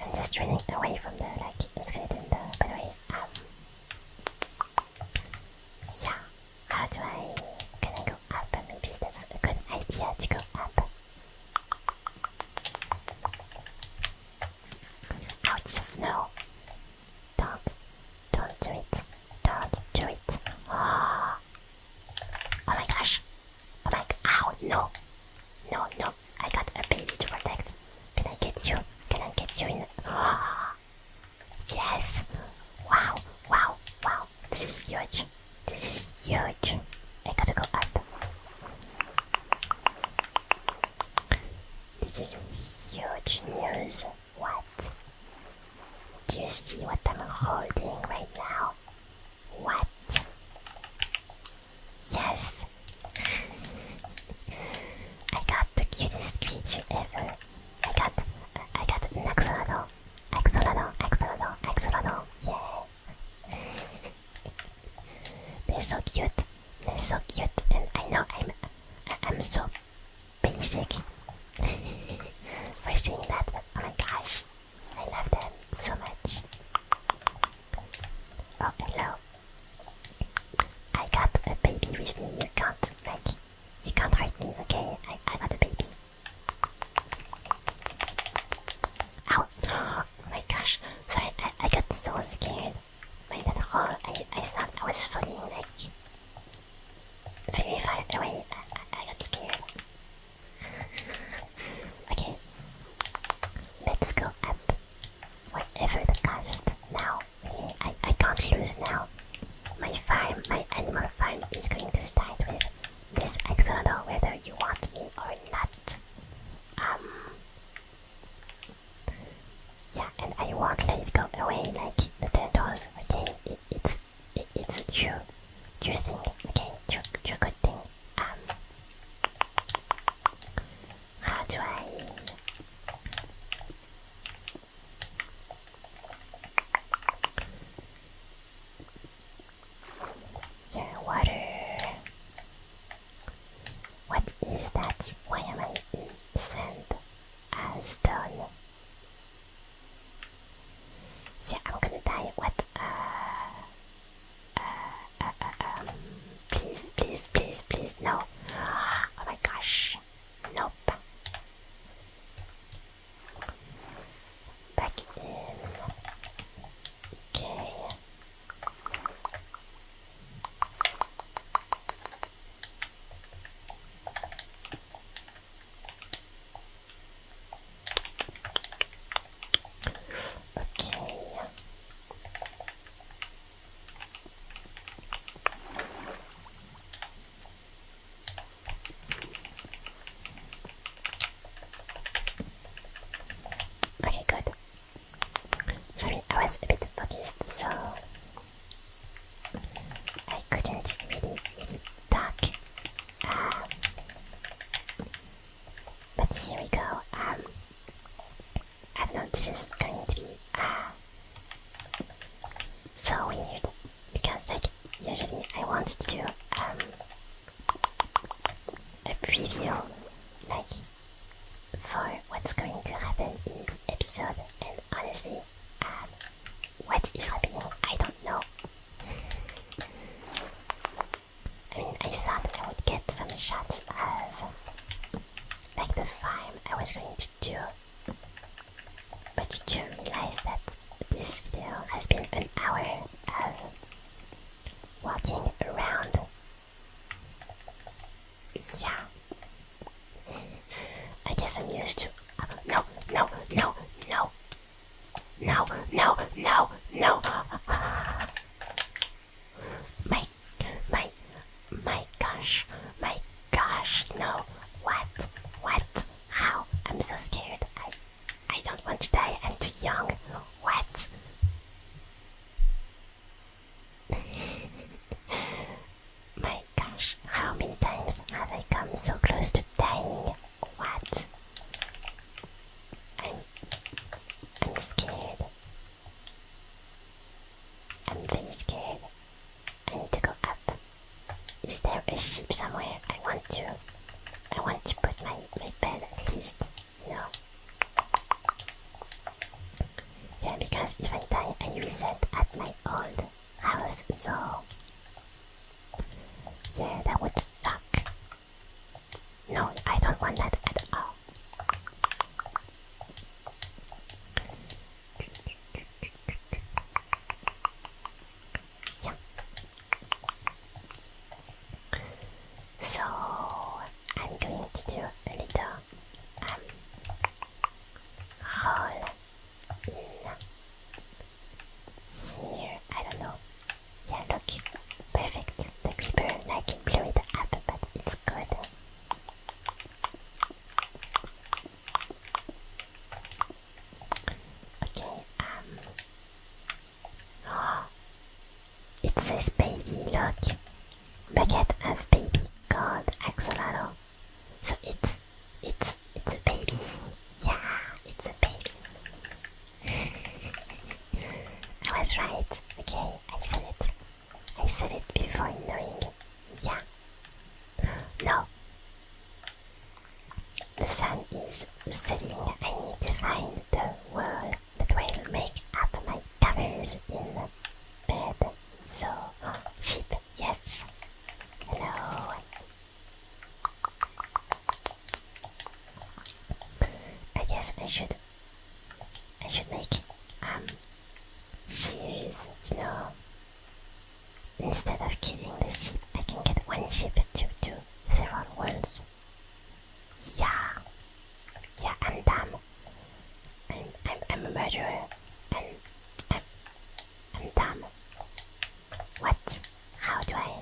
I'm just running away from the like skeleton. Though, by the yeah, how do I... Can I go up? Maybe that's a good idea to go up. no. Don't. Don't do it. Don't do it. Oh, oh my gosh. Oh my... Ow, no. No, no. I got a baby to protect. Can I get you? Can I get you in? Oh. Yes! Wow, wow, wow. This is huge. This is huge. I gotta go up. This is huge news. What? Do you see what I'm holding right now? What? Yes, I got the cutest creature ever. I got, I got axolotl. Axolotl, axolotl, axolotl. Yeah. They're so cute. They're so cute, and I know I'm, I, am i am so basic for saying that, but oh my gosh, I love them so much. Oh, hello. I got a baby with me. You can't like you can't hurt me, okay? I, I got a baby. Oh my gosh! Sorry, I, I got so scared by that hole. I I thought I was falling like very far away. I, I got scared. okay, let's go up whatever the cost now. I, I can't lose now. My farm, my animal farm is going to start with this axolotl whether you want me or not. Um Yeah, and I won't let it go away like the turtles, okay? It, it's it, it's a true true thing, okay? True, true good thing. Um how do I yeah, water. What is that? Why am I in sand and stone? Yeah, I'm gonna die. What? Uh, uh, uh, um, please, please, please, please, no. Oh my gosh. Nope. Back in. Okay. Okay. Okay, good. Sorry, I was a bit focused, so I couldn't really, talk. Um, but here we go. Um, I know, this is going to be uh, so weird because like usually I want to do um, a preview like for what's going to happen in the episode and honestly um, what is happening I don't know I mean I thought I would get some shots of like the farm I was going to do but you do realize that this video has been an hour of walking around. Yeah. I guess I'm used to. Uh, no, no, no, no. No, no, no, no. My my, my gosh, my gosh, no. What? What? How? I'm so scared. I, I don't want to die. I'm too young. What? my gosh, how many times have I come so close to dying? What? I'm, I'm scared. I'm really scared. I need to go up. Is there a ship somewhere? I want to. I want to put my, my bed at least, you know. Yeah, because if I die, I reset at my old house, so. Yeah, that would suck. No, I don't want that at all. So, I'm going to do a little roll um, in here. I don't know. Yeah, look, perfect. The creeper, like, blew it up, but it's good. Okay, um. Oh, it says baby, look. Bucket of baby called Axolotl. So it's, it's, it's a baby. Yeah, it's a baby. I was right. Okay, I said it. I said it before knowing. Yeah. No. The sun is setting. I need to find the wool that will make up my covers in bed. So, sheep, yes. Hello. I guess I should. I should make um shears know. Instead of killing the sheep, I can get one sheep to do several wounds. Yeah, yeah, I'm dumb. I'm, I'm, I'm a murderer. and I'm, I'm dumb. What? How do I?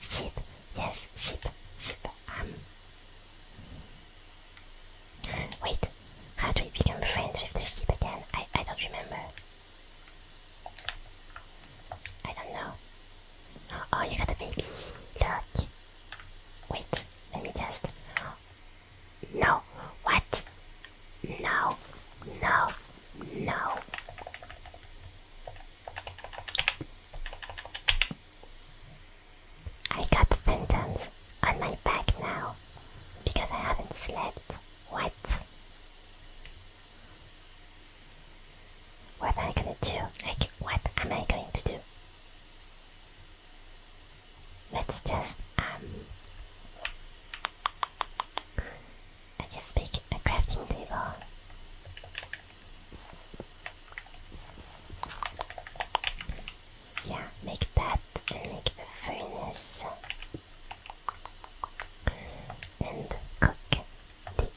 Sheep, yes, sheep, sheep. I'm. Um. Wait, how do we become friends with the sheep again? I, I don't remember. I don't know. Oh, you got a baby. Look. Wait, let me just... No! What? No! No! No! I got phantoms on my back now because I haven't slept. What? What am I gonna do? Like, what am I going to do? Let's just, um. I guess make a crafting table yeah, make that and make a furnace and cook the iron. Yeah,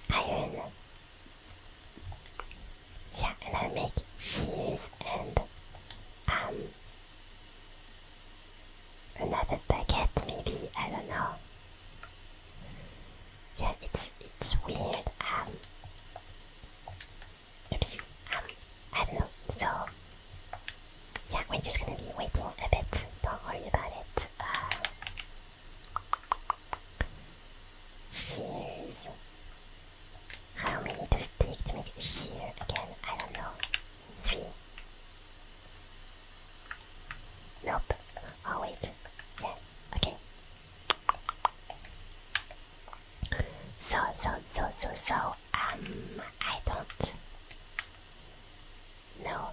and I'll make shoes and um another bucket maybe, I don't know. Yeah, it's it's weird, um Oops. Um, I don't know. So, yeah, we're just gonna be waiting a bit. Don't worry about it. Uh, How many does it take to make a shear again? I don't know. Three. Nope. Oh wait. Yeah. Okay. So, so, so, so, so, um, I don't know,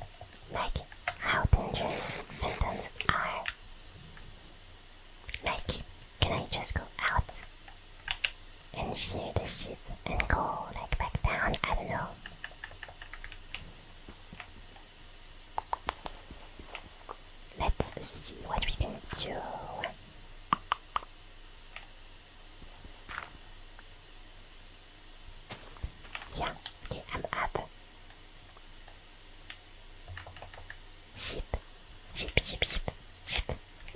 like, how dangerous phantoms are. Like, can I just go out and shear the sheep and go, like, back down? I don't know. Let's see what we can do. Yeah, okay, I'm up. Sheep, sheep, sheep, sheep, sheep.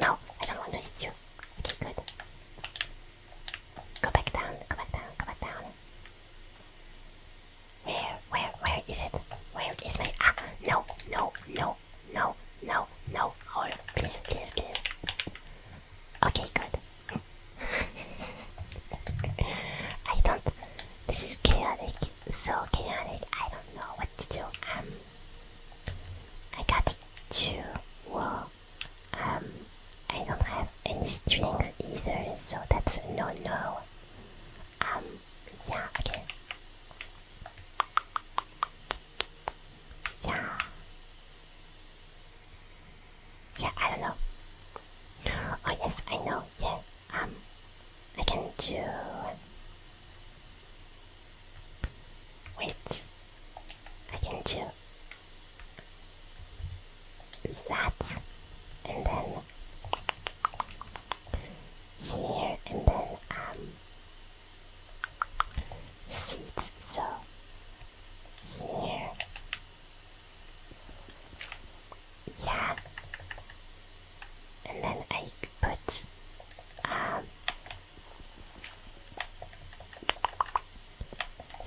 No, I don't want to hit you. Okay, good. Go back down, go back down, go back down. Where, where, where is it? Where is my... Ah, no, no, no no, no, no, hold please, please, please. Okay, good. I don't. This is chaotic, so chaotic. I don't know what to do. Um, I got two. Well, um, I don't have any strings either, so that's no, no. Um, yeah, okay. Yeah. Yeah, I don't know. Oh yes, I know. Yeah. Um, I can do. Wait. I can do that, and then here, and then um, so here yeah and then I put um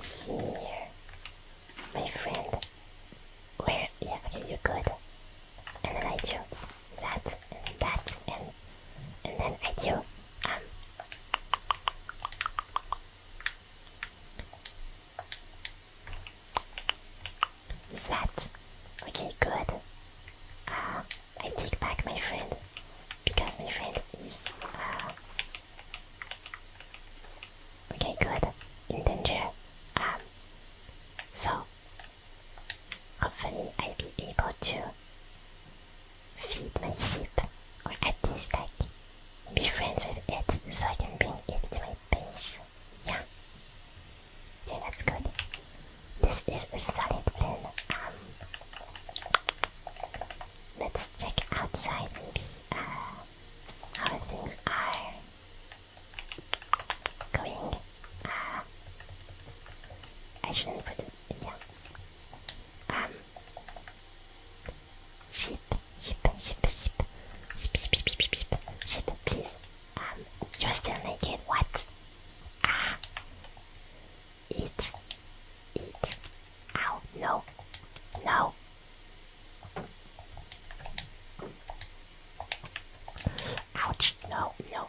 here my friend where yeah okay you're good and then I do that and that and and then I do Flat. Okay, good. Uh, I take back my friend because my friend is. Uh, okay, good. In danger. Um, so, hopefully, I'll be able to feed my sheep, or at least like be friends with it so I can bring it to my base. Yeah. Okay, that's good. This is a solid plan. Um, let's check outside maybe uh, how things are going. Uh, I shouldn't put it. Yeah um, sheep, sheep, sheep, sheep, sheep, sheep, sheep, sheep, sheep, sheep, please. Um, you're still naked, what? Ah, eat, eat, ow, no, no. Ouch, no, no,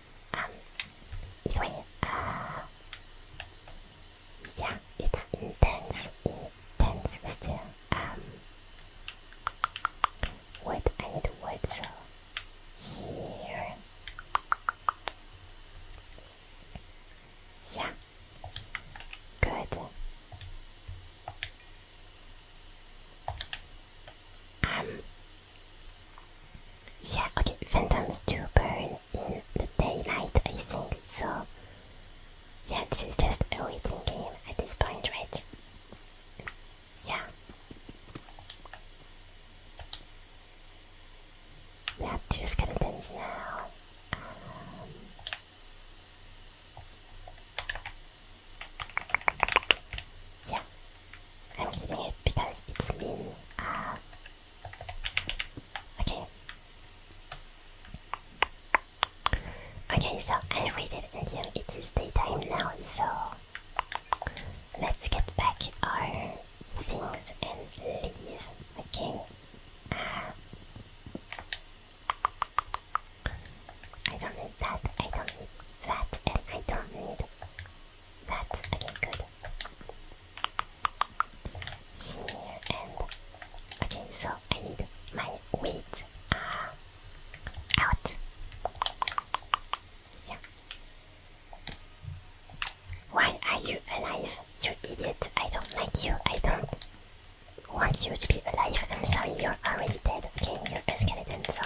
Um, uh, yeah, it's intense, intense still. Um, wood, I need wood, so here. Yeah, good. Um, yeah, okay, phantoms do burn in the daylight, I think, so... Yeah, this is just a waiting game at this point, right? Yeah. We have two skeletons now. Um, yeah, I'm keeping it because it's mean. Uh, um, okay. Okay, so I'll read it until it is daytime now, so let's get back our things and leave, okay? Uh, I don't need that, I don't need that, and I don't need that. Okay, good. Here and okay, so I need my wheat uh, out. Yeah. Why are you alive, you idiot? I don't like you. I don't want you to be alive. I'm sorry, you're already dead. Okay, you're a skeleton, so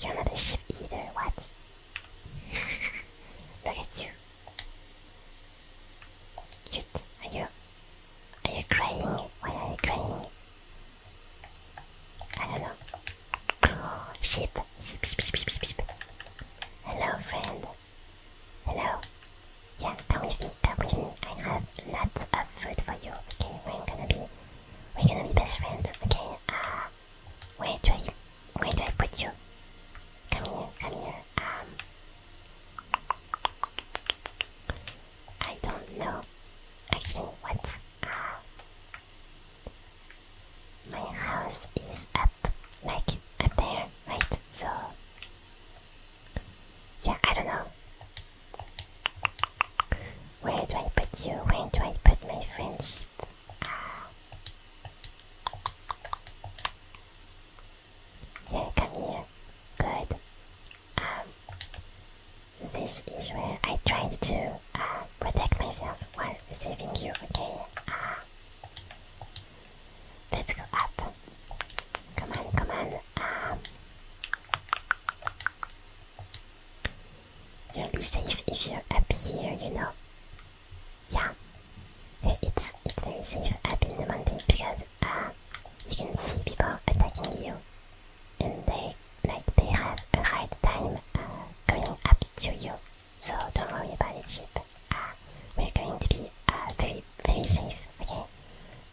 You're not a sheep either, what? Look at you. Cute. Are you... Are you crying? Why are you crying? I don't know. sheep. Hello, friend. Hello. Yeah, come with me, come with me. I have lots of food for you, okay? I'm gonna be we're gonna be best friends, okay? Uh, where do I, where do I put you? Come here, come here. Um, I don't know. Actually, what? Uh, my house is up, like up there, right? So yeah, I don't know. Where do I put you? Where do I put my friends? Yeah, come here. Good. Um, this is where I tried to uh, protect myself while saving you, okay? Uh, let's go up. Come on, come on. Um, You'll be safe if you're up here, you know. Yeah, it's it's very safe up in the mountain because uh, you can see people attacking you, and they like they have a hard time uh, going up to you. So don't worry about it, Chip. Uh, we're going to be uh, very very safe, okay?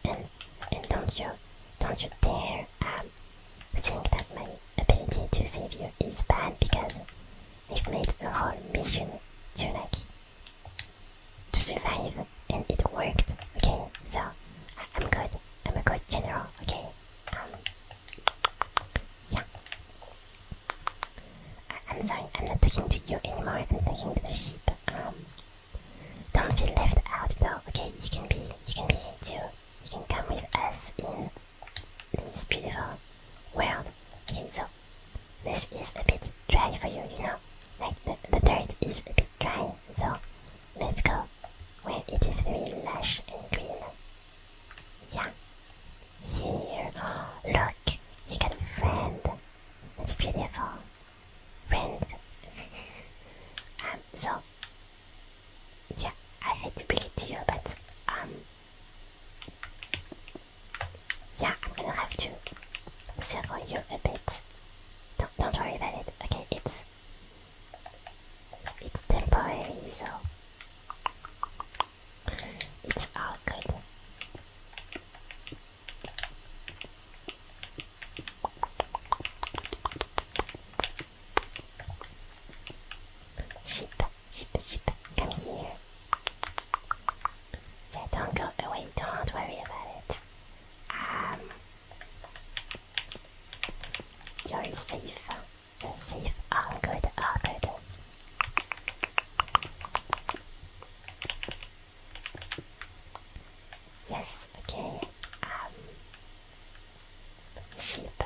And and don't you don't you dare um, think that my ability to save you is bad because we have made a whole mission to like to survive and it worked. Okay, so I am good. I'm a good general. Okay. Um, yeah. I am sorry. I'm not talking to you anymore. I'm talking to the sheep. Um, don't feel left out though. Okay, you can be. You can be too you can come with us in this beautiful world. Okay, so this is a bit dry for you, you know? Like the, the dirt is a bit dry, so let's go where it is very lush and green. Yeah. Here, look, you can a friend. It's beautiful. Friend. um, so, yeah, I hate to bring it to you, but um, yeah, I'm gonna have to circle you a bit. Don't don't worry about it. Okay, it's it's temporary, so it's all good. Sheep, sheep, sheep, come here. don't go away, don't worry about it. Um, you're safe, you're safe, all good, all good. Yes, okay. Um, Sheep.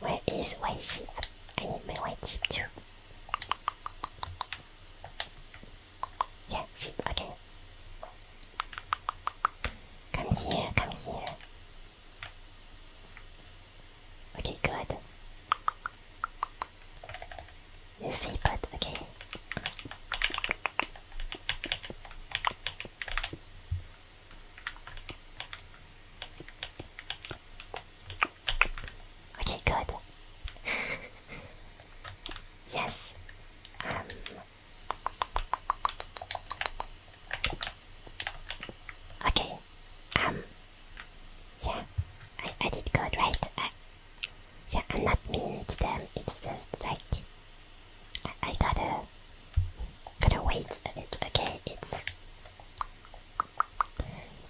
Where is white sheep? I need my white sheep too. Yeah, sheep, okay. Come here, come here. Okay, good. You see, but okay. Okay, good. yes. Um. Okay. Um. Yeah. I did good, right? I, yeah, I'm not mean to them. It's just like I, gotta gotta wait a bit. Okay, it's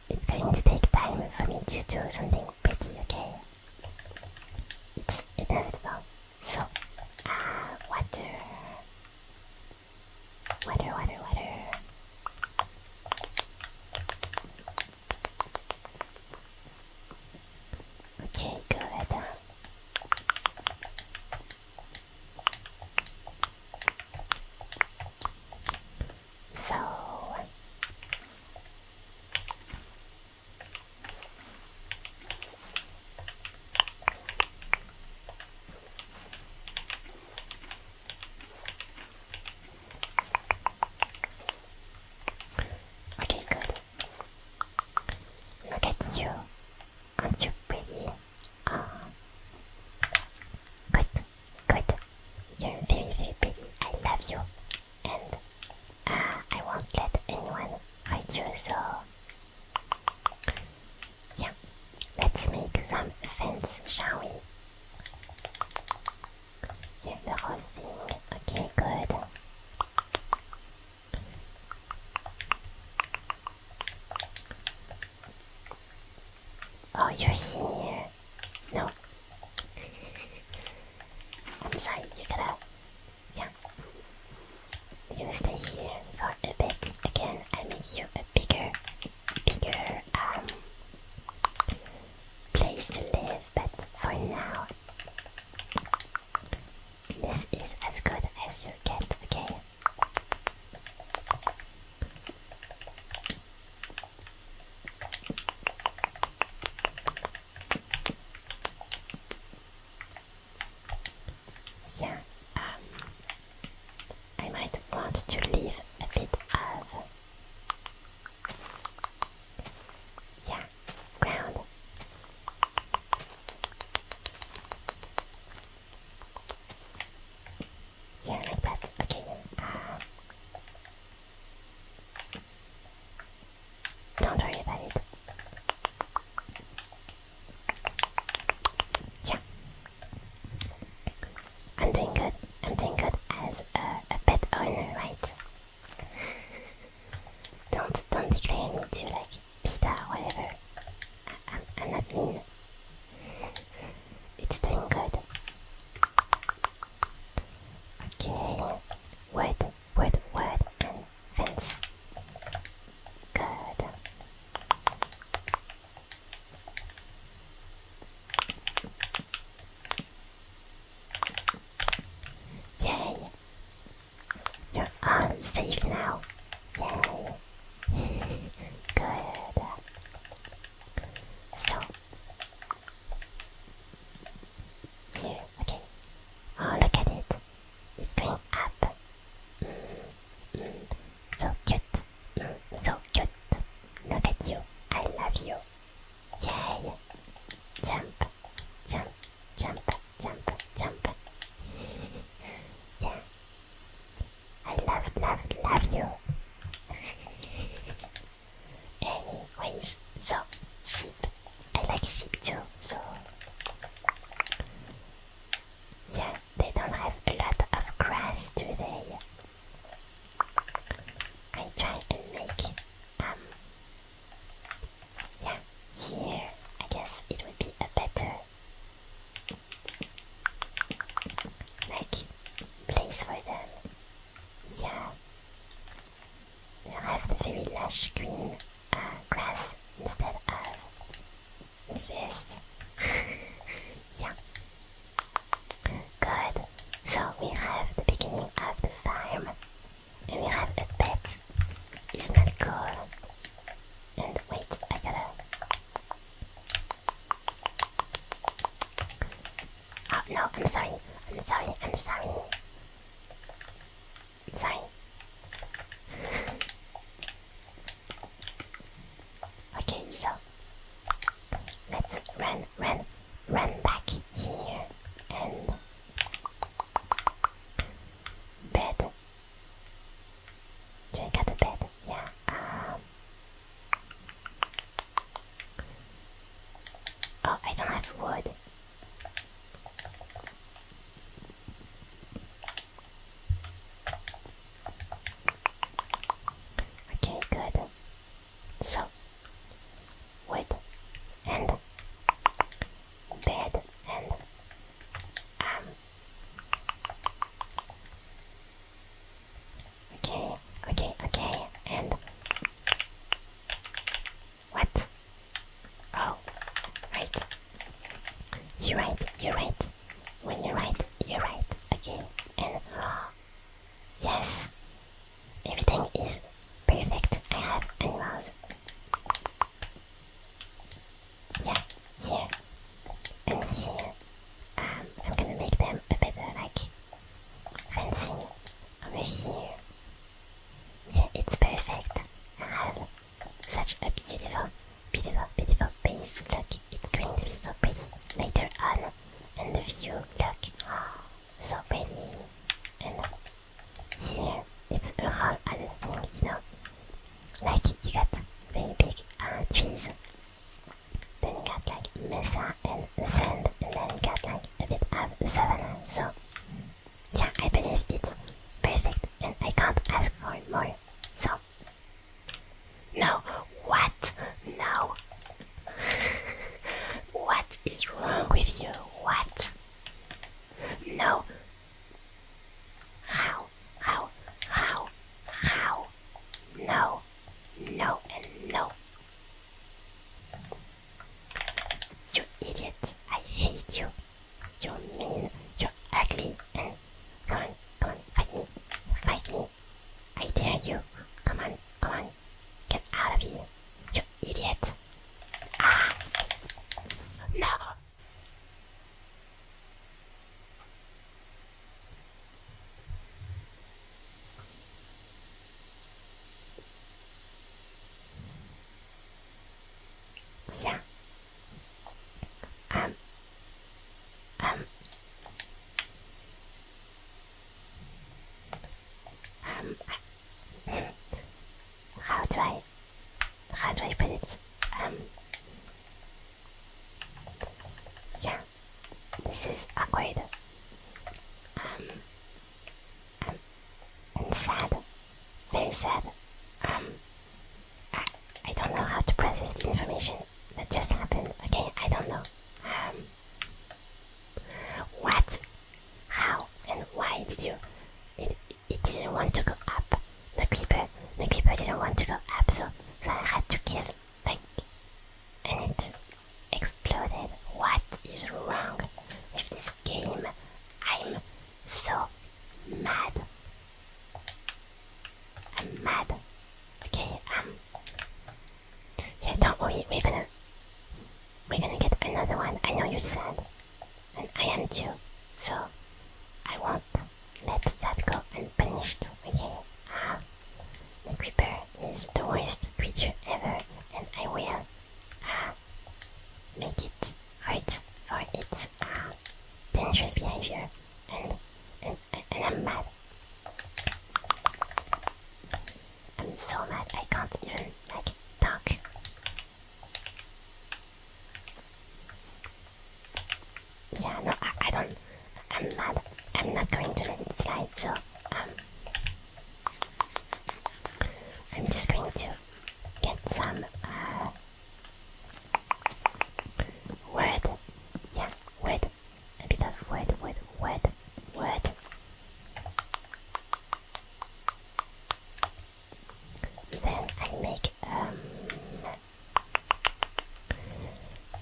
it's going to take time for me to do something pretty. Okay, it's inevitable. So, uh, water, water, water, water. Okay, go good. So Okay, good. Look at you aren't you pretty? good, good. You're very, very pretty. I love you, and uh, I won't let anyone hurt you. So, yeah, let's make some fence, shall we? Here, the whole thing. Okay, good. Oh, you're here. No. I'm sorry, you gotta. Yeah. You're gonna stay here for a bit. Again, I make you a bigger, bigger, um, place to live, but for now, this is as good as you get, okay? Yeah, um, I might want to leave a bit of yeah, ground yeah, like Okay. Uh, don't worry about it. Yeah. I'm doing good. I'm doing good as a, a pet owner, right? don't don't declare me to like pita, whatever. I, am I'm not mean. It's doing good. Okay, wood, wood, wood, and fence. Good. Yay! You are safe now. Yay. Good. So. Here, okay. Oh, look at it. It's going up. Mm, mm. so cute. Mm, so cute. Look at you. I love you. Yay. Jump. Jump. Jump jump, jump. yeah. I love, love, love you. Anyways, so sheep. I like sheep too, so yeah, they don't have a lot of grass, do they? I try to make um yeah here. I guess it would be a better like, place for them. Yeah. they have the very lush green uh, grass instead of zest. yeah. Good. So we have the beginning of the farm. And we have the pet. It's not that cool? And wait, I gotta. Oh no, I'm sorry. I'm sorry. I'm sorry. Sorry. okay, so let's run, run, run back here and bed Drink at the bed, yeah. Um. oh, I don't have wood. Okay, good. So, wood and bed and um Okay, okay, okay, and what? Oh, right. You're right, you're right. When you're right, you're right. Okay, and yes, everything is perfect. I have animals yeah, here, and here. Um, I'm gonna make them a bit like fencing over here. Yeah, it's perfect. such a beautiful, beautiful, beautiful base. Look, it's going to be so pretty later on. And the view, look, so pretty. And here, it's a whole other thing, you know like you got very big uh, trees. Then you got like mesa and sand, and then you got like a bit of savannah. So yeah, I believe it's perfect, and I can't ask for more. So no, what? No. what is wrong with you? What? No, how, how, how, how? No, no, and no. You idiot! I hate you. You're mean, you're ugly, and go on, come on, fight me, fight me. I dare you. Come on, come on, get out of here. You idiot! Ah! No, yeah. Um. Um. Um. Hmm, how do I how do I put it? Yeah. This is awkward. Um um sad. Very sad. Um, I I don't know how to process the information that just happened. Okay, I don't know. Um, what? How and why did you? it didn't want to go up. The creeper, the creeper didn't want to go up, so so I had to kill like, and it exploded. What is wrong with this game? I'm so mad. I'm mad. Okay, um, yeah, don't worry, we're gonna, we're gonna get another one. I know you said and I am too, so I won't let that go unpunished, okay? Ah, the creeper is the worst creature ever, and I will ah, make it right for its ah, dangerous behavior, and, and, and I'm mad. I'm so mad I can't even, like, talk. Yeah, no, I, don't. I'm not. I'm not going to let it slide. So um, I'm just going to get some uh, word. Yeah, word. A bit of word, word, word, word. Then i make um,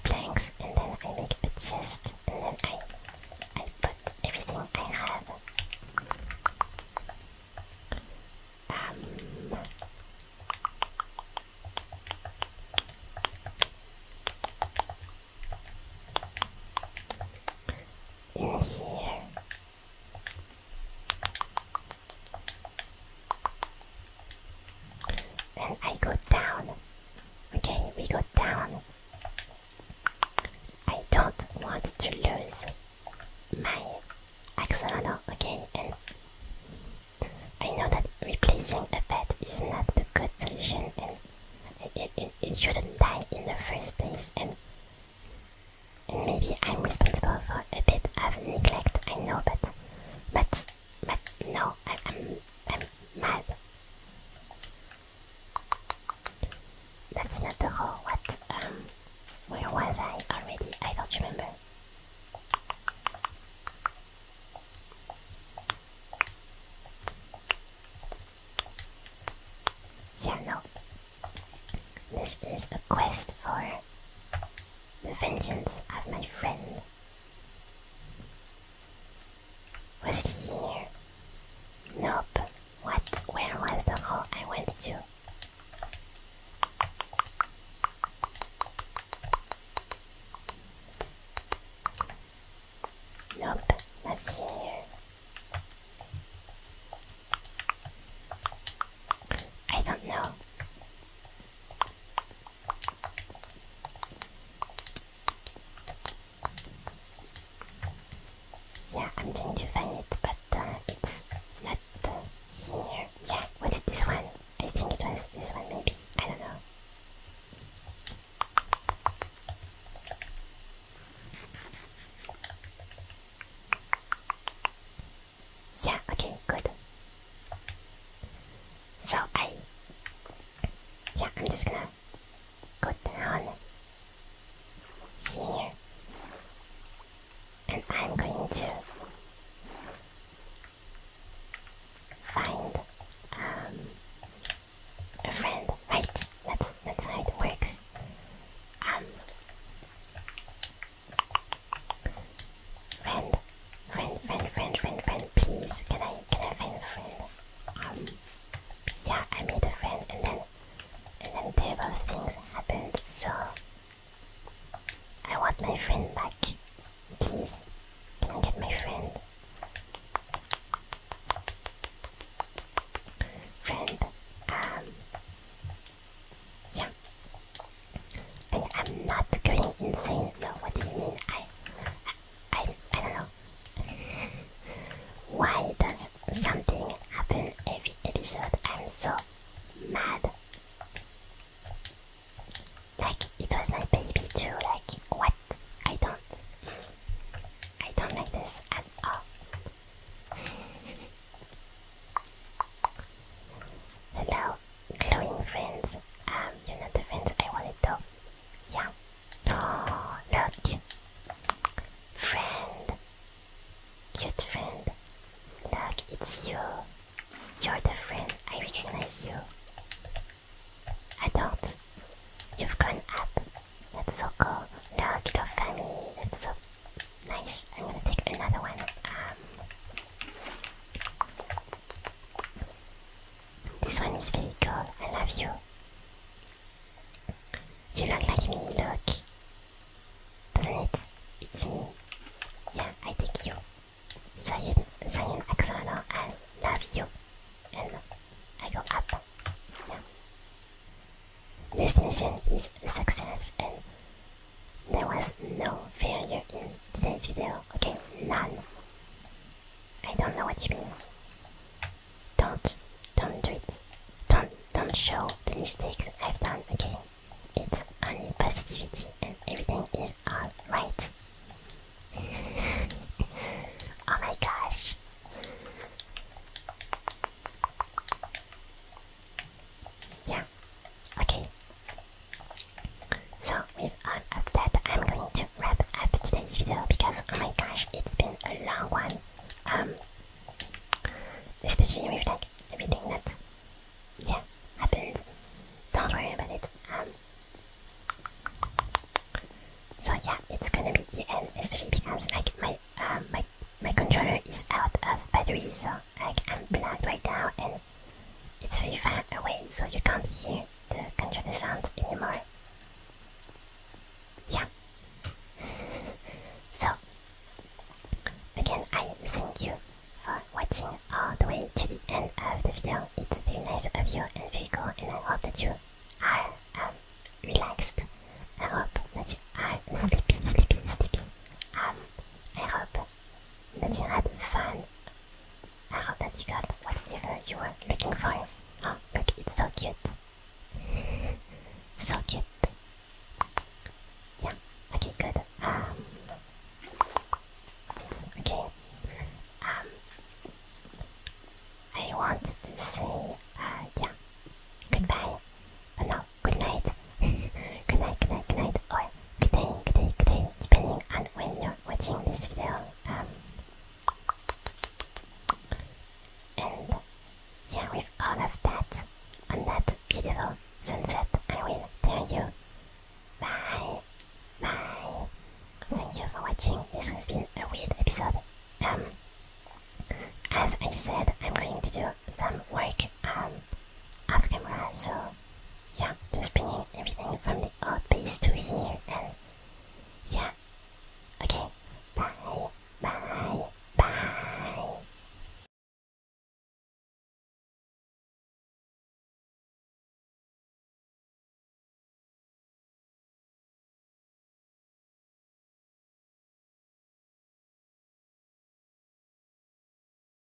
planks and then I make a chest and then I, I put everything I have. Um, in here. And I go down. Okay, we go down. I don't want to lose my axolotl, okay? And I know that replacing a pet is not a good solution and it, shouldn't die in the first place and maybe I'm responsible for a bit of neglect, I know, but but, but no, I, am I'm mad. That's not the whole. What? Um, where was I already? I don't remember. Yeah, This is a quest for the vengeance of my friend. Was it here? Nope. What? Where was the hall I went to? Nope, not here. I don't know. Yeah, I'm trying to find it, but uh, it's not uh, here. Yeah, what is this one? I think it was this one, maybe. I don't know. Yeah, okay, good. So I yeah, I'm just gonna go down here and I'm going to find um, a friend. Right, that's that's how it works. Um, Friend, friend, friend, friend, friend, friend, please, can I, can I find friend? Um, yeah, I made a friend and then, and then terrible things happened, so I want my friend back. Please, can I get my friend? Friend, um, yeah. I'm not going insane. No, what do you mean? I, I, I don't know. Why does something happen every episode? I'm so mad. Like it was my baby too. Like what? I don't. I don't like this at all. Hello, glowing friends. Um, you're not the friends I wanted though. Yeah. Oh, look. Friend. Cute friend. Look, it's you. You're the friend. I recognize you. I don't. You've grown up. That's so cool. Look, your family. That's so nice. I'm gonna take another one. Um, this one is very good. I love you. You look like me, look. Doesn't it? It's me. Yeah, I take you. Cyan, Cyan Axolano, I love you. And I go up. This mission is a success and there was no failure in today's video. Okay, none. I don't know what you mean. Don't, don't do it. Don't, don't show the mistakes I've done. Okay, it's only positivity, and everything is all right. oh my gosh. Yeah. Okay. So with all of that, I'm going to wrap up today's video because oh my gosh, it's been a long one. Um, especially with like everything that yeah happened. Don't worry about it. Um. So yeah, it's gonna be the end, especially because like my um my my controller is out of battery, so like I'm blocked right now, and it's very far away, so you can't hear the controller sound anymore. Yeah. so, again, I thank you for watching all the way to the end of the video. It's very nice of you and very cool, and I hope that you are um, relaxed. I hope that you are sleepy, sleepy, sleepy. Um, I hope that you had fun. I hope that you got whatever you were looking for. Oh, look, it's so cute. so cute. Yeah, okay, good. Um, okay. Um, I want to say, uh, yeah, goodbye. Uh, no, good night good night, good night, good night, or good day, good day, good day, depending on when you're watching this video. Um, and yeah, with all of that, on that beautiful sunset, I will tell you bye, bye. Thank you for watching. This has been a weird episode. Um, as I said, I'm going to do some work afterward, so yeah, just bringing everything from the old base to here and yeah. Okay, bye, bye, bye.